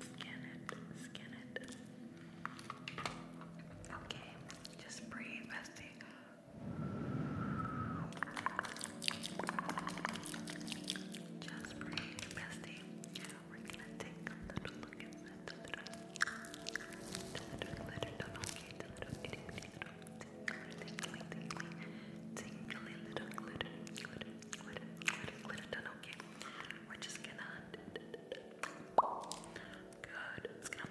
Scan it. Scan it. Scan it. Okay, just breathe, bestie. Just breathe, bestie. We're gonna take a little look at the little glitter. Don't okay, the little itty bitty little tingly, tingly, tingly little glitter, glitter, glitter, glitter, glitter. Don't okay. We're just gonna. Good. It's gonna.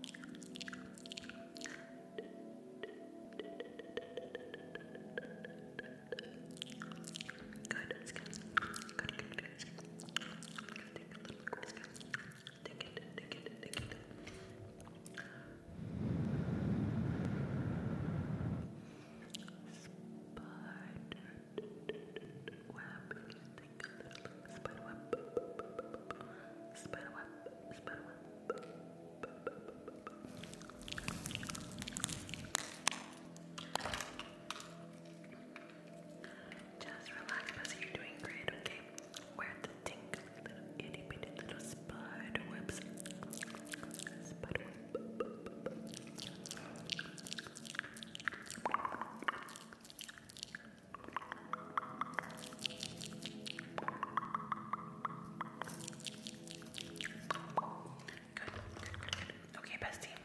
Good, good. Good, good, good. Take a little quick Take it, take it, take it. Spider web. Get Spiderweb. Spiderweb. Spiderweb. Just relax, because you're doing great, okay? Where the tink little itty bitty little spider webs. Spider web. Good, good, good, good. Okay, bestie.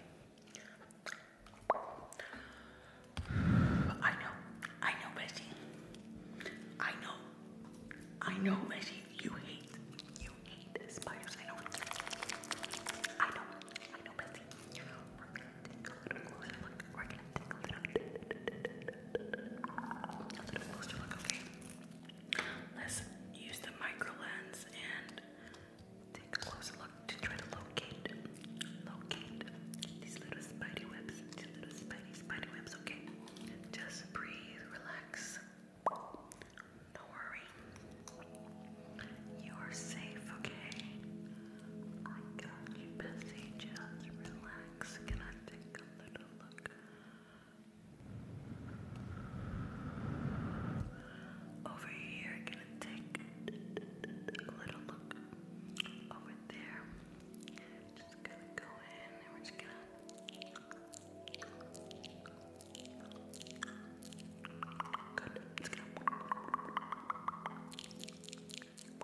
I know, I know, bestie. I know, I know, bestie. You hate, you hate spiders. I know, I know, I know, bestie tickle use the micro lens and take a closer look to try to locate, locate these little spidey webs, little spidey, spidey webs, okay? Just breathe, relax, don't worry, you are safe, okay? I got you busy, just relax. Can I take a little look? Over here, gonna take a little look. Over there, just gonna go in and we're just gonna. Good. It's gonna. Relax, relax,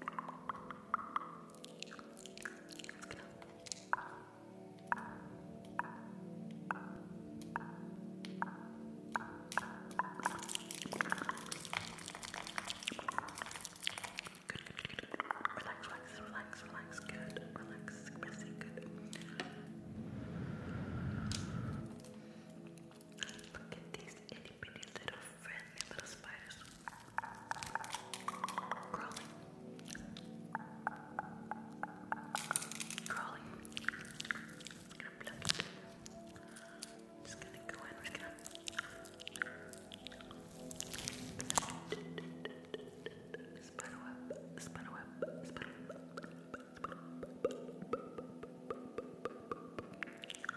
relax, relax, good, relax, pressy, good. Look at these itty bitty little friendly little spiders crawling, crawling. i gonna pluck it. just gonna go in. We're gonna. Spider web, spider web, spider web.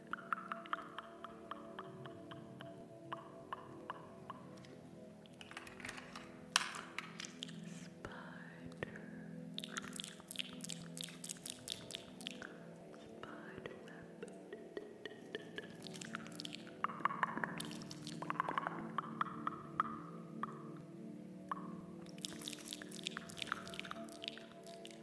Spider just relax,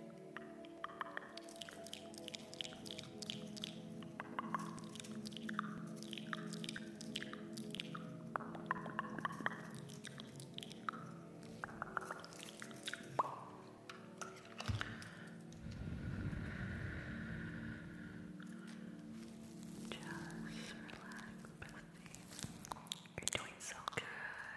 You're doing so good.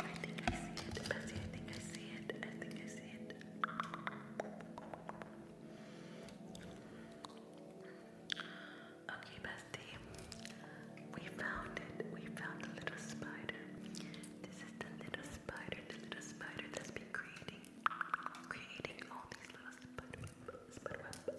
I think I see it, Bessie. I think I see it. I think I see it. Okay, Bestie. We found it. We found the little spider. This is the little spider. little spider that's been creating, creating all these little spider webs.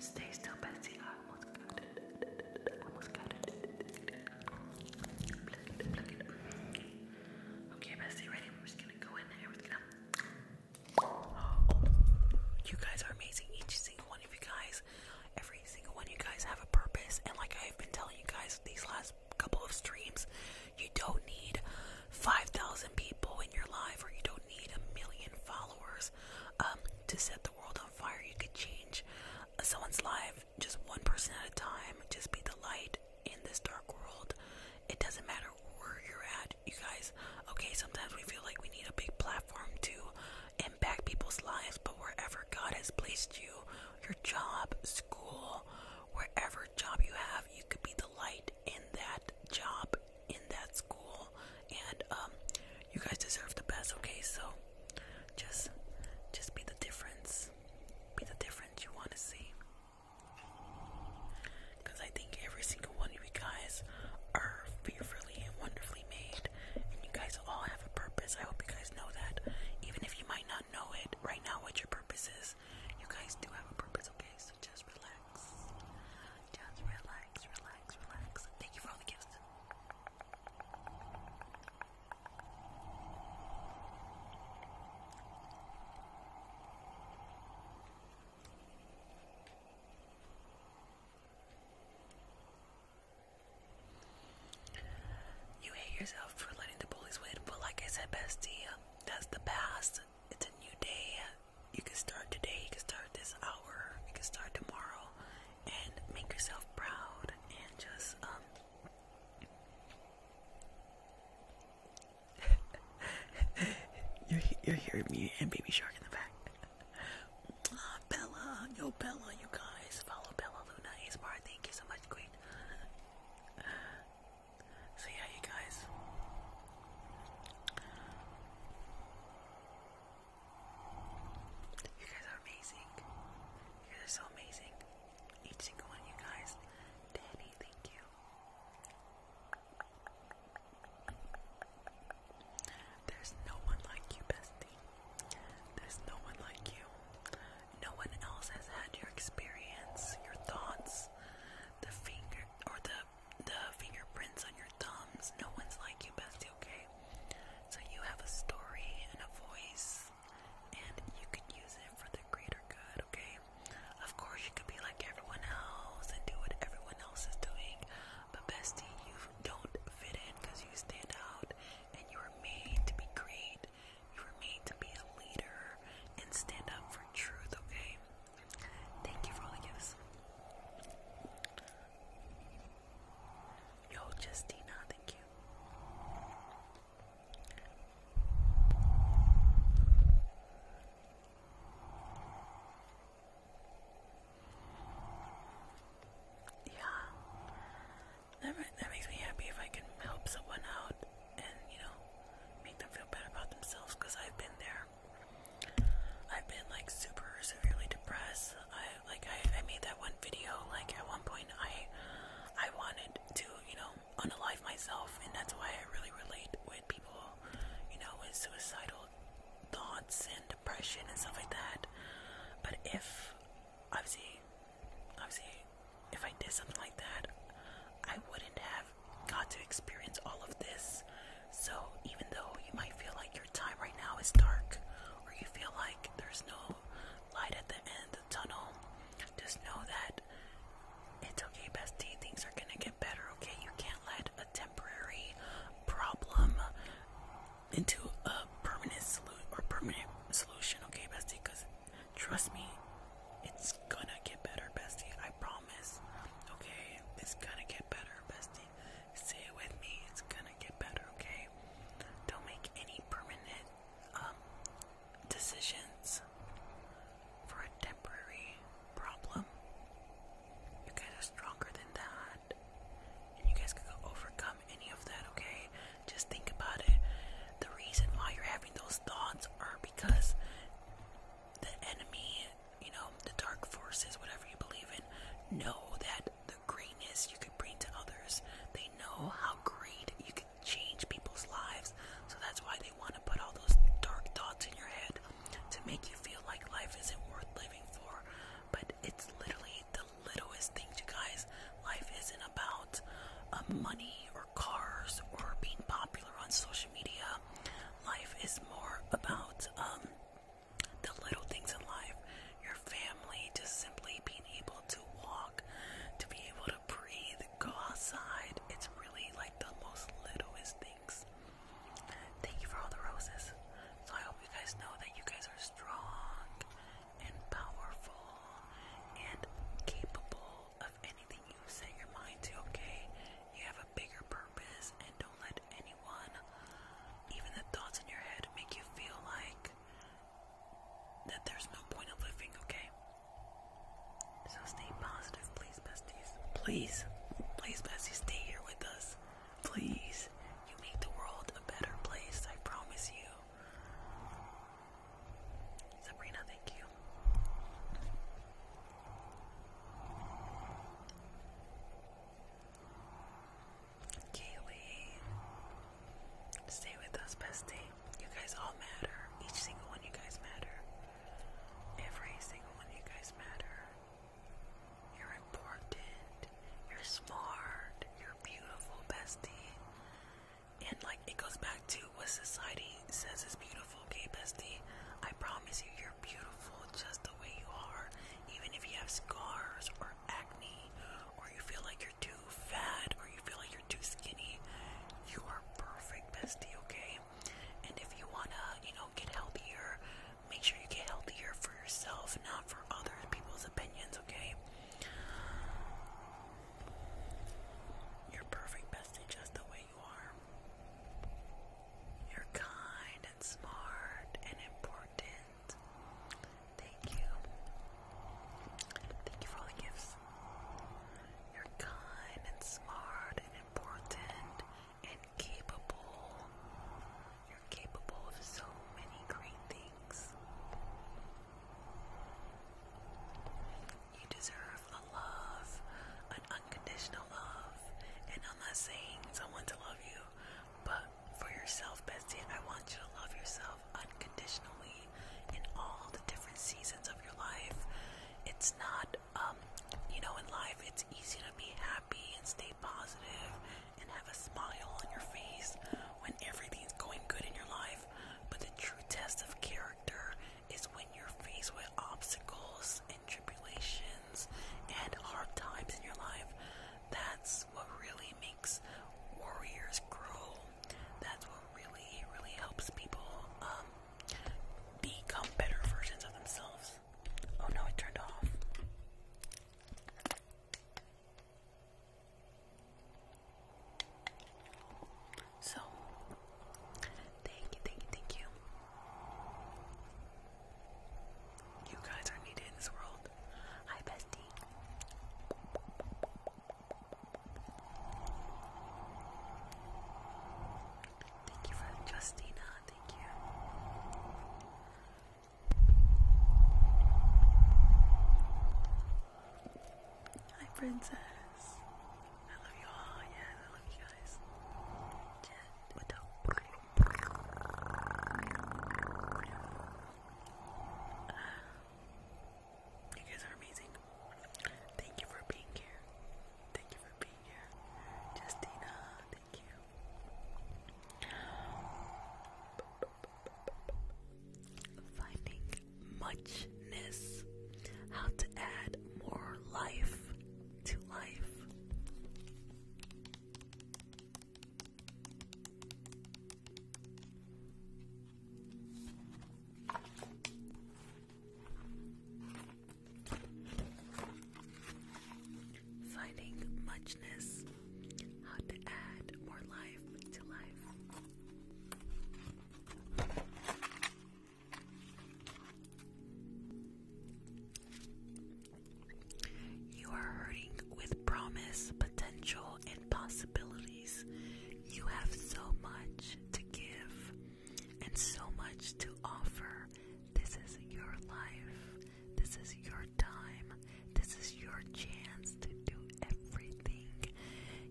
Stay still, Betsy. I almost got it. almost got it. Pluck it. Pluck Okay, Bessie, ready? We're just gonna go in there. We're you guys are amazing. Each single one of you guys, every single one of you guys have a purpose. And like I've been telling you guys these last couple of streams, you don't need 5,000 people in your life or you don't need a million followers um, to set the world on fire. You could change someone's life just one person at a time. Just be the light in this dark world. It doesn't matter where you're at, you guys. Okay, sometimes we feel like we need a big platform to impact people's lives, but wherever God has placed you, your job, school, wherever job you have, you could be the light in that job, in that school, and um, you guys deserve the best. Okay, so just, just be the difference. Be the difference you want to see because I think every single one of you guys are fearfully and wonderfully made, and you guys all have a purpose. I hope you guys know that, even if you might not know it right now what your purpose is. You guys do have a purpose, okay? So just relax, just relax, relax, relax. Thank you for all the gifts. You hate yourself for letting the bullies win, but like I said, bestie, that's the past. It's a new day. You can start today, you can start this hour, you can start tomorrow, and make yourself proud and just, um, <laughs> <laughs> you're hearing me and Baby Shark in the back. Bella, yo Bella, you guys follow Bella Luna Asmar. Thank you so much, Queen. <laughs> So yeah, you guys. You guys are amazing. You guys are so amazing. Each single one you guys. Danny, thank you. There's no one like you, bestie. There's no one like you. No one else has had your experience, your thoughts, the finger or the the fingerprints on your thumbs. No one's like you, bestie, okay? So you have a story and a voice and you can use it for the greater good, okay? Of course you can be like everyone else and do what everyone else is doing. But bestie, you don't fit in because you stand out and you were made to be great. You were made to be a leader and stand up for truth, okay? Thank you for all the gifts. Yo, Justina, thank you. Yeah. That, makes me happy if I can help someone out and, you know, make them feel better about themselves because I've been there. I've been like super severely depressed. I like I, I made that one video like at one point I I wanted to, you know, unalive myself and that's why I really relate with people, you know, with suicidal thoughts and depression and stuff like that. But if obviously, obviously, if I did something like that, I wouldn't have got to experience all of this. So even though you might feel like your time right now is dark, or you feel like there's no light at the end of the tunnel, just know that it's okay, bestie. Things are gonna get better. Okay, you can't let a temporary problem into a permanent solution okay, bestie? Because trust me, it's gonna get better, bestie. I promise. Okay, it's gonna get better, bestie. Say it with me. It's gonna get better, okay? Don't make any permanent um, decisions for a temporary problem. You guys are stronger than that. And you guys can overcome any of that, okay? Just think about it. The reason why you're having those thoughts are because the enemy, you know, the dark forces, whatever you believe in, know that the greatness you can bring to others. They know how great you can change people's lives. So that's why they want to put all those dark thoughts in your head to make you feel like life isn't worth living for. But it's literally the littlest things, you guys. Life isn't about uh, money or cars or being popular on social media. Life is more about um, the little things in life. Your family, just simply being able to walk, to be able to breathe, go outside. It's really like the most littlest thing. Thank you for all the roses. So I hope you guys know that you guys are strong and powerful and capable of anything you set your mind to, okay? You have a bigger purpose and don't let anyone, even the thoughts in your head, make you feel like that there's no point of living, okay? So stay positive, please, besties. Please, please, besties, stay here with us. Please, you make the world a better place, I promise you. Sabrina, thank you. Kaylee, stay with us, bestie. You guys all matter. Each single one, you guys matter. Every single one, you guys matter. You're important. You're smart. You're beautiful, bestie. And like it goes back to what society says is beautiful, okay, bestie. I promise you, you're beautiful just the way you are. Even if you have scars or acne, or you feel like you're too fat, or you feel like you're too skinny, you are perfect, bestie, okay? And if you wanna, you know, get healthier, Make sure you get healthier for yourself, not for other people's opinions, okay? You're perfect, bestie, just the way you are. You're kind and smart and important. Thank you. Thank you for the gifts. You're kind and smart and important and capable. You're capable of so many great things. You deserve a love, an unconditional love. And I'm not saying someone to love you, but for yourself, bestie, I want you to love yourself unconditionally in all the different seasons of your life. It's not, um, you know, in life, it's easy to be happy and stay stay positive and have a smile on your face when everything's going good in your life. But the true test of character is when you're faced with obstacles and tribulations and hard times in your life. That's what really makes warriors grow. That's what really, really helps people um, become better versions of themselves. Oh no, it turned off. So, thank you, thank you, thank you. You guys are needed in this world. Hi, bestie. Thank you for Justina. Uh, thank you. Hi, princess. I love you all. Yeah, I love you guys. You guys are amazing. Thank you for being here. Thank you for being here, Justina. Thank you. Finding muchness. How to add more life to life finding muchness, how to add more life to life. You are hurting with promise, potential, and possibilities. You have so much to give and so much to offer. This is your life. This is your time. This is your chance to do everything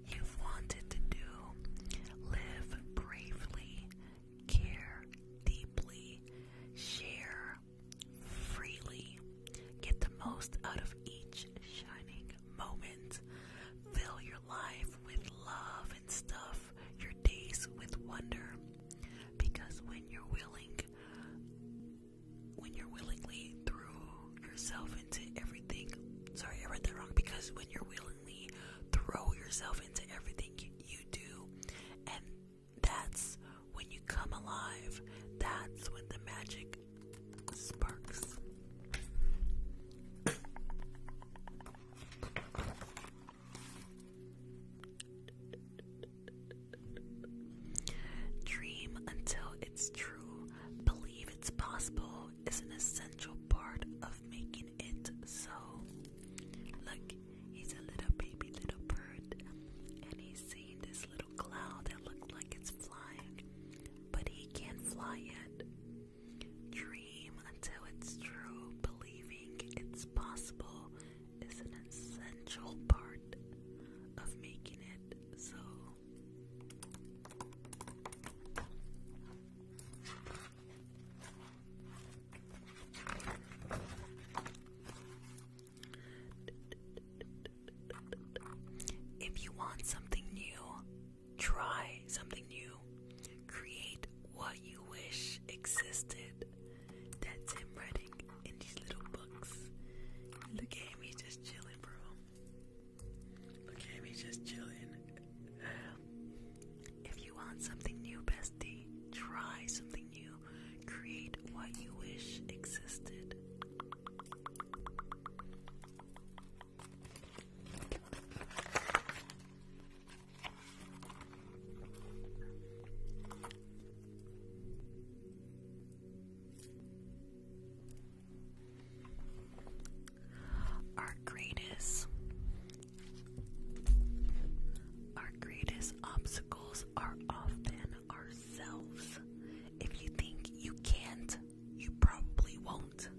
you've wanted to do. Live bravely, care deeply, share freely. Get the most out of each shining moment. Fill your life with love and stuff, your days with wonder. Because when you're willing when you're willingly throw yourself into everything. Sorry, I read that wrong. Because when you're willingly throw yourself into everything you do, and that's when you come alive, that's when the magic sparks. Dream until it's true. Believe it's possible is an essential part of making it so. Look, he's a little baby little bird, and he's seeing this little cloud that looks like it's flying, but he can't fly yet. Dream until it's true, believing it's possible is an essential part of making it so. If you want something new, try something new. Create what you wish existed. That's him writing in these little books. Look at him, he's just chilling, bro. Look at him, he's just chilling. <sighs> If you want something new, bestie, try something new. Create what you wish existed. Our greatest our greatest obstacles are often ourselves. If you think you can't, you probably won't.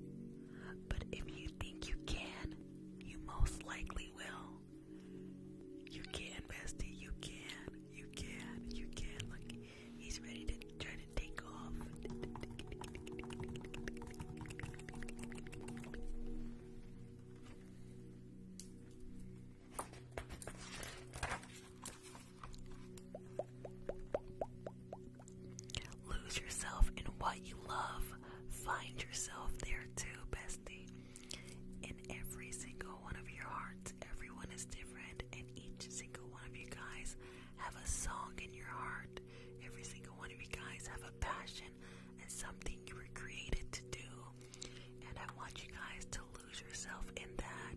But if you think you can, you most likely will. You can, bestie. You can. You can. You can. Look, he's ready to try to take off. Lose yourself in what you love. Find yourself there too, bestie in every single one of your hearts. Everyone is different, and each single one of you guys have a song in your heart. Every single one of you guys have a passion and something you were created to do. And I want you guys to lose yourself in that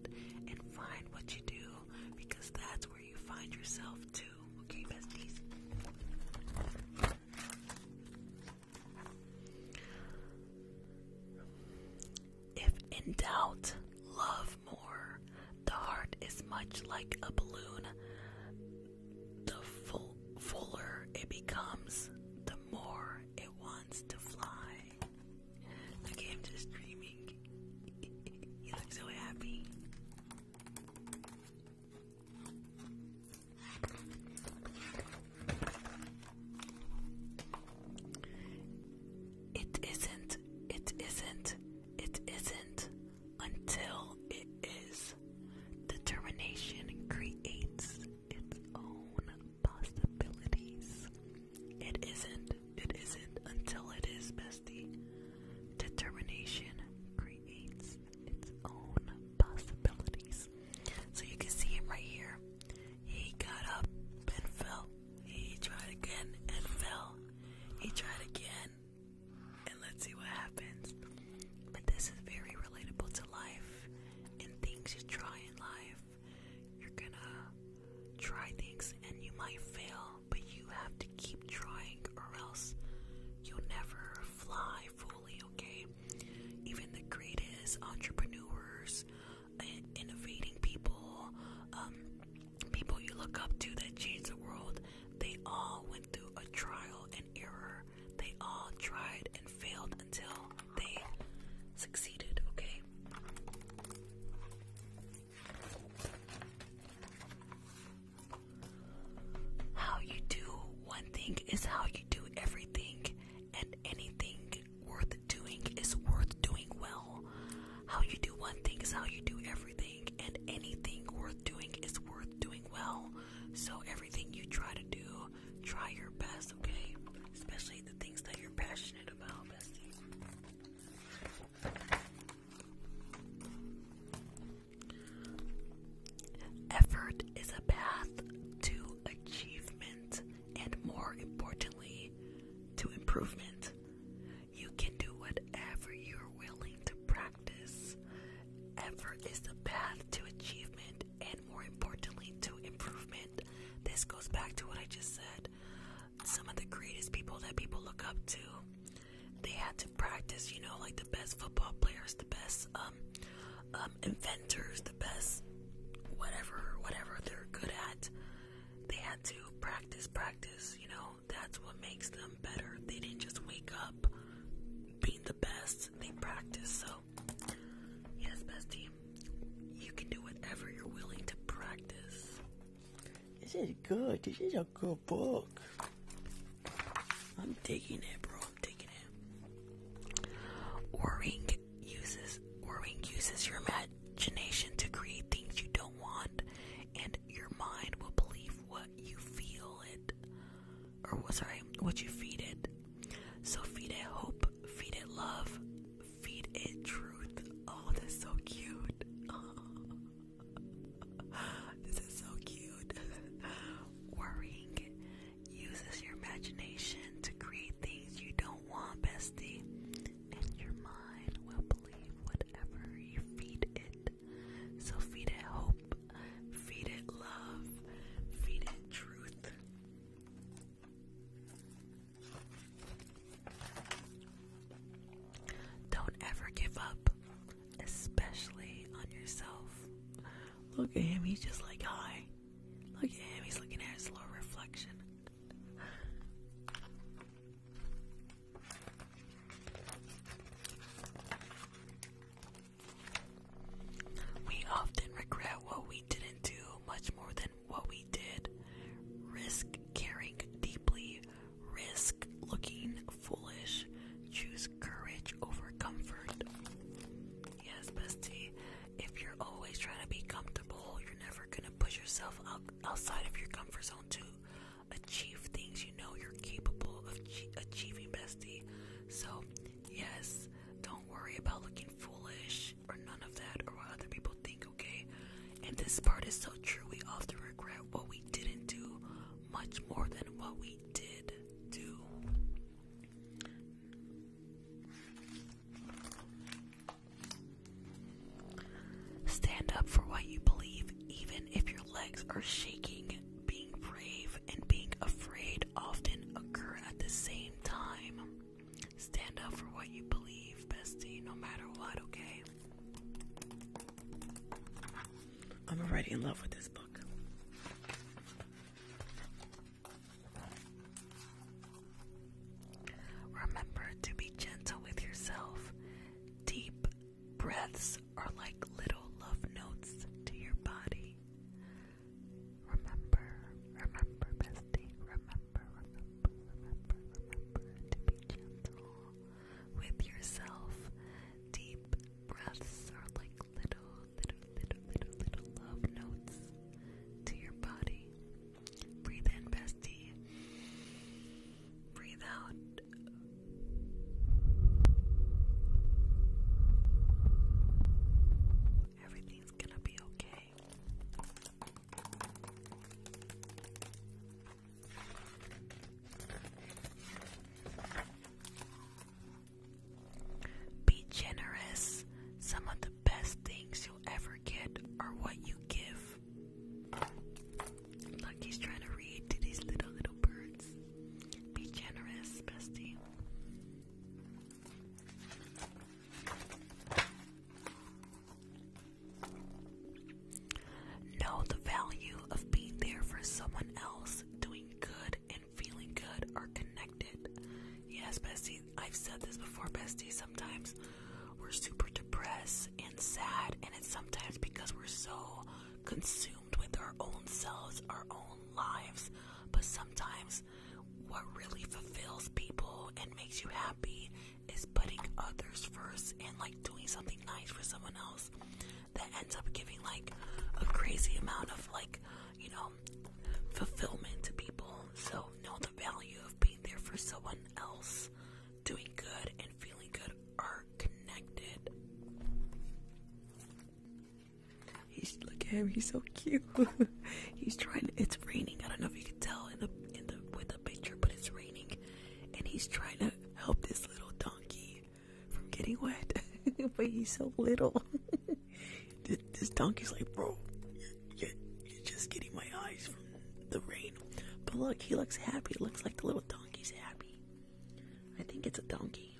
and find what you do because that's where you find yourself too. Okay, besties. If in doubt, love more. The heart is much like a balloon. The full, fuller it becomes, the more it wants to fly. <laughs> Look at him just dreaming. he looks so happy. It isn't, it isn't, it isn't until it is. Determination creates its own possibilities. It isn't, it isn't until it is, bestie. Determination creates its own possibilities. So you can see him right here. He got up and fell. He tried again and fell. He tried again. And let's see what happens. But this is very relatable to life and things you try in life. You're gonna try things and you might fail, but you have to keep trying or else you'll never fly fully, okay? Even the greatest entrepreneurs innovating people, um, people you look up to that change the world, they all went through a trial and error. They all tried and failed until they succeeded, okay? How you do one thing is how you do everything and anything worth doing is worth doing well. How you do one thing is how you do everything, and anything worth doing is worth doing well. So, everything you try to do, try your best, okay? Especially the things that you're passionate about, Effort is a path to achievement and more importantly, to improvement. You can do whatever you're willing to practice. Effort is the path to achievement and, more importantly, to improvement. This goes back to what I just said. Some of the greatest people that people look up to, they had to practice, you know, like the best football players, the best um, um, inventors the best whatever whatever they're good at, they had to practice practice, you know. That's what makes them better. They didn't just wake up being the best. They practiced. So, yes, bestie, you can do whatever you're willing to practice. This is good. This is a good book. I'm taking it, bro. I'm taking it. Waring uses Orwing uses your imagination to create things you don't want, and your mind will believe what you feel it, or sorry, what you feed it. So feed it hope, feed it love, feed it truth. Oh, that's so cute. this is so cute. <laughs> <laughs> Worrying uses your imagination to create things you don't want, bestie, and your mind will believe whatever you feed it. So feed it hope, feed it love, feed it truth. Don't ever give up, especially on yourself. Look at him, he's just like, hi. Look at him, he's looking at his little reflection. We often regret what we didn't do much more than what we did. Risk caring deeply, risk looking foolish, choose courage over comfort. Yes, bestie. If you're always trying to be comfortable, you're never gonna push yourself out, outside of your comfort zone to achieve things you know you're capable of achieving, bestie. So, yes, don't worry about looking foolish or none of that or what other people think, okay? And this part is so true. We often regret what we didn't do much more than what we did do. Stand up for what you believe, even if your legs are shaking. Being brave and being afraid often occur at the same time. Stand up for what you believe, bestie, no matter what, okay? I'm already in love with this book. Remember to be gentle with yourself. Deep breaths are like little love notes to your body. Remember, remember, bestie, remember, remember, remember, remember to be gentle with yourself. Deep breaths are like little, little, little, little, little love notes to your body. Breathe in, bestie. Breathe out. Everything's gonna be okay. Be generous. Some of the best things you'll ever get are what you give. Look, trying to read to these little, little birds. Be generous, bestie. Know the value of being there for someone else, doing good and feeling good are connected. Yes, Bessie, I've said this before, bestie. Sometimes we're super depressed and sad, and it's sometimes because we're so consumed with our own selves, our own lives. But sometimes what really fulfills people and makes you happy is putting others first and like doing something nice for someone else that ends up giving like a crazy amount of like, you know, fulfillment to people. So know the value of being there for someone else, doing good and feeling good are connected. He's look at him, he's so cute. <laughs> he's trying to, it's raining. I don't know if you can tell in the in the with the picture, but it's raining. And he's trying to help this little donkey from getting wet. <laughs> but he's so little. <laughs> this, donkey's like, bro, you're, just getting my eyes from the rain. But look, he looks happy. It looks like the little donkey's happy. I think it's a donkey.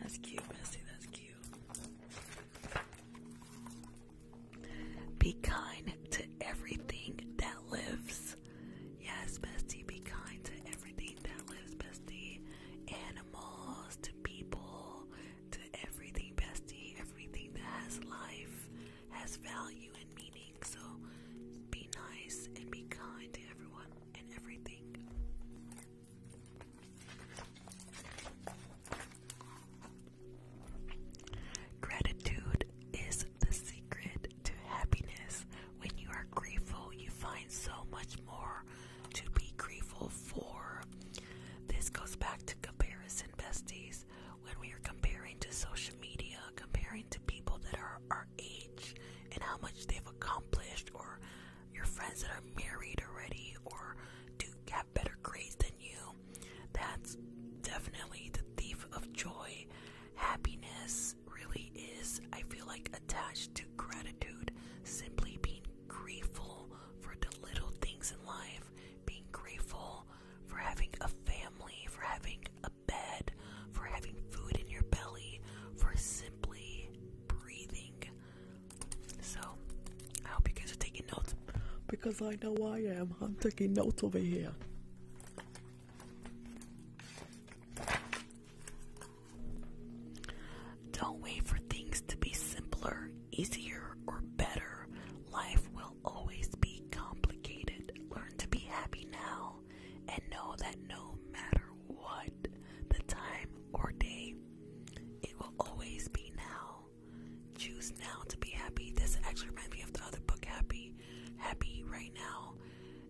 That's cute, bestie. That's cute. Be kind to everything that lives. Yes, bestie, be kind to everything that lives, bestie. Animals, to people, to everything, bestie. Everything that has life has value and meaning. So be nice and be kind to everyone and everything. Gratitude is the secret to happiness. When you are grateful, you find so much more to be grateful for. This goes back to comparison besties. When we are comparing to social media, comparing to people that are our age and how much they've accomplished, or your friends that are married already, or do have better grades than you, that's definitely the thief of joy. Happiness really is, I feel like, attached to gratitude, simply being grateful for the little things in life being grateful for having a family, for having a bed, for having food in your belly, for simply breathing. So, I hope you guys are taking notes because I know I am. I'm taking notes over here. Don't wait for things to be simpler easier or better. Life will always be complicated. Learn to be happy now and know that no matter what the time or day, it will always be now. Choose now to be happy. This actually reminds me of the other book, Happy. Happy right now.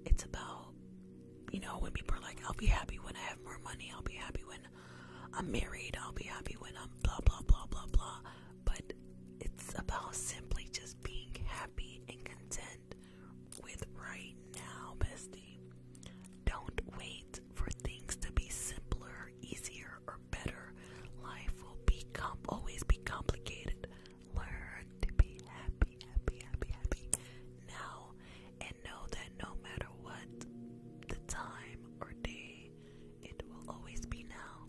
It's about, you know, when people are like, I'll be happy when I have more money, I'll be happy when I'm married, I'll be happy when I'm blah, blah, blah, blah, blah. But it's about simply just being happy and content with right now, bestie. Don't wait for things to be simpler, easier, or better. Life will be always be complicated. Learn to be happy, happy, happy, happy now, and know that no matter what the time or day it will always be now.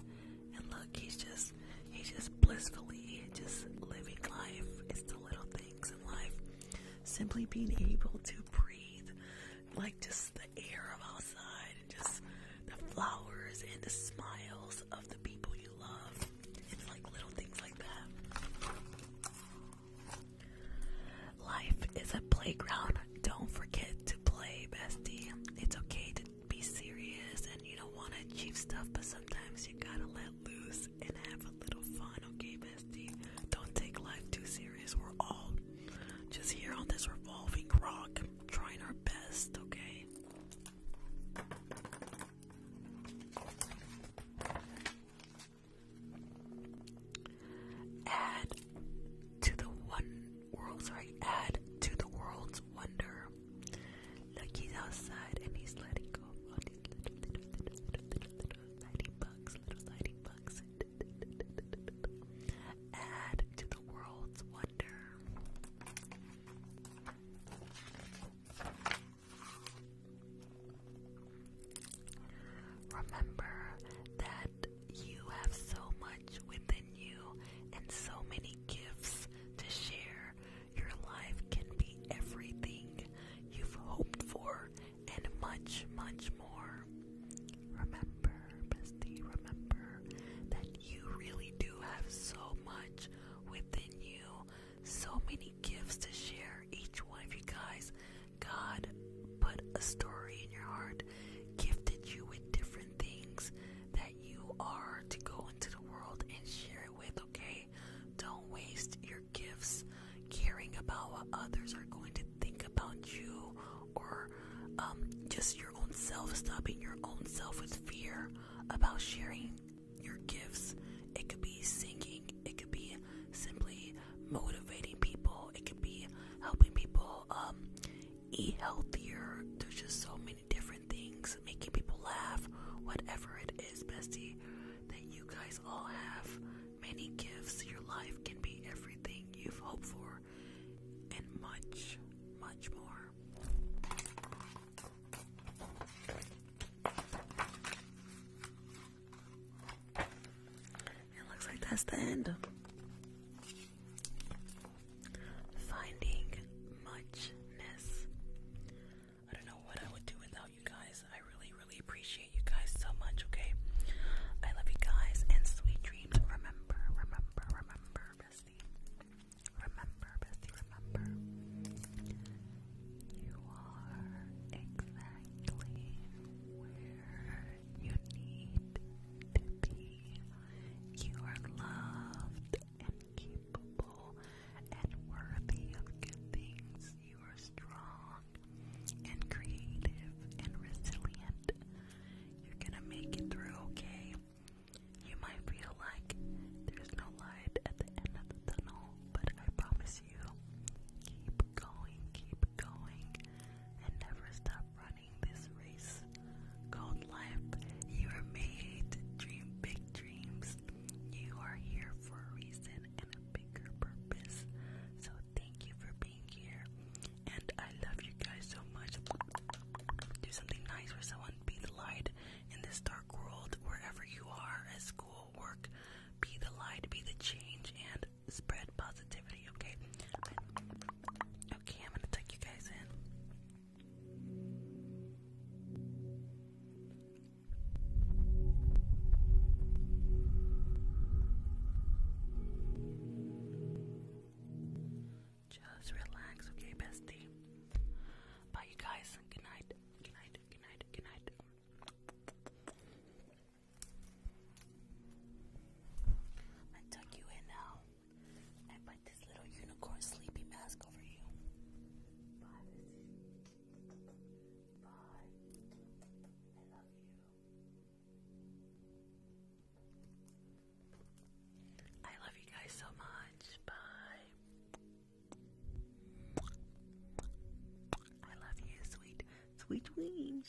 And look, he's just he's just blissfully just living life. It's the little things in life. Simply being able to breathe like just the air of outside and just the flowers and the smiles of the people you love. It's like little things like that. Life is a playground. Don't forget to play, bestie. It's okay to be serious and you don't want to achieve stuff, but sometimes you gotta let loose and have a little fun, okay, bestie? Don't take life too serious. We're all just here on this revolving rock trying our best, okay? Add to the one add to the world's wonder. Look, he's outside and he's letting go of bugs, little lighting bugs. add to the world's wonder. Remember that you have so much within you and so many gifts to share. Your life can be everything you've hoped for and much, much more. Remember, bestie, remember that you really do have so much within you, so many gifts to share. Each one of you guys, God put a story in your heart, gifted you with different things that you are to go into the world and share it with, okay? Don't waste your gifts caring about what others are going to think about you or um, just your own self, stopping your own self with fear about sharing your gifts. It could be singing, it could be simply motivating people, it could be helping people um, eat healthier. There's just so many different things, making people laugh, whatever it is, bestie, that you guys all have. Many gifts. Your life can be everything you've hoped for, and much, much more. It looks like that's the end. Finding muchness. I don't know what I would do without you guys. I really, really appreciate you guys so much, okay? I love you guys and sweet dreams. Remember, remember, remember, bestie. Remember, bestie, remember. You are exactly where you need to be. You are loved and capable and worthy of good things. You are strong and creative and resilient. You're gonna make it through, okay? You might feel like there's no light at the end of the tunnel, but I promise you, keep going, keep going, and never stop running this race called life. You were made to dream big dreams. You are here for a reason and a bigger purpose. So thank you for being here. And I love you guys so much. Do something nice for someone. Be the light in this dark world, wherever you are, at school, work. Be the light, be the change, and spread positivity, okay? Okay, I'm gonna take you guys in. Just relax, okay, bestie. Bye, you guys. Good night. Good night. Good night. Good night. i tuck you in now. I put this little unicorn sleepy mask over you. I love you. guys so much. Bye. I love you, sweet, sweet wings.